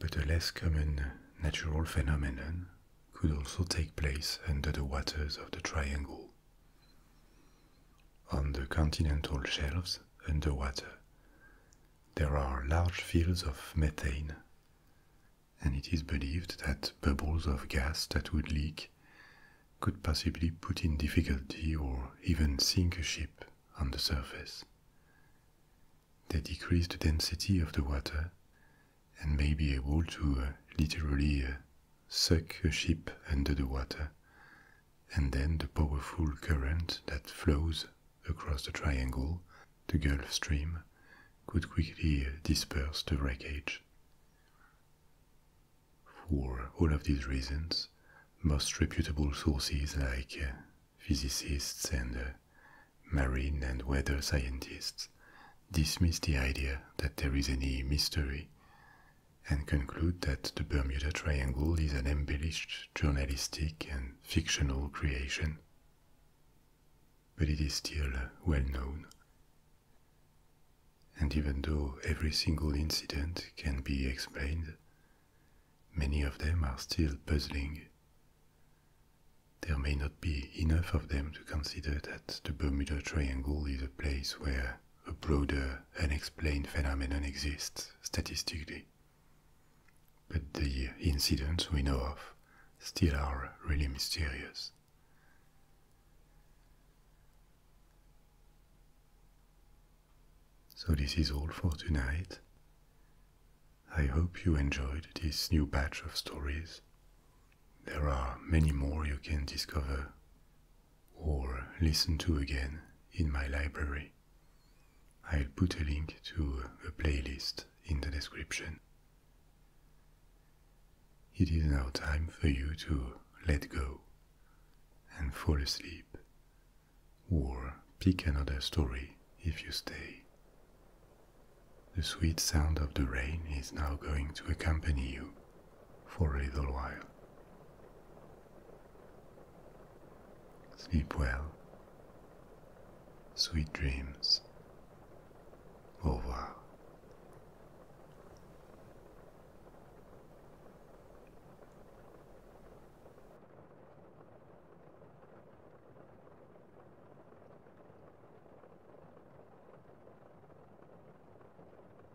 But a less common natural phenomenon could also take place under the waters of the triangle. On the continental shelves underwater, there are large fields of methane, and it is believed that bubbles of gas that would leak could possibly put in difficulty or even sink a ship on the surface. They decrease the density of the water and may be able to uh, literally uh, suck a ship under the water, and then the powerful current that flows across the triangle, the Gulf Stream, could quickly disperse the wreckage. For all of these reasons, most reputable sources like uh, physicists and uh, marine and weather scientists dismiss the idea that there is any mystery and conclude that the Bermuda Triangle is an embellished journalistic and fictional creation. But it is still uh, well known. And even though every single incident can be explained, many of them are still puzzling. There may not be enough of them to consider that the Bermuda Triangle is a place where a broader unexplained phenomenon exists statistically. But the incidents we know of still are really mysterious. So, this is all for tonight. I hope you enjoyed this new batch of stories. There are many more you can discover or listen to again in my library. I'll put a link to a playlist in the description. It is now time for you to let go and fall asleep, or pick another story if you stay. The sweet sound of the rain is now going to accompany you for a little while. Sleep well. Sweet dreams. Au revoir.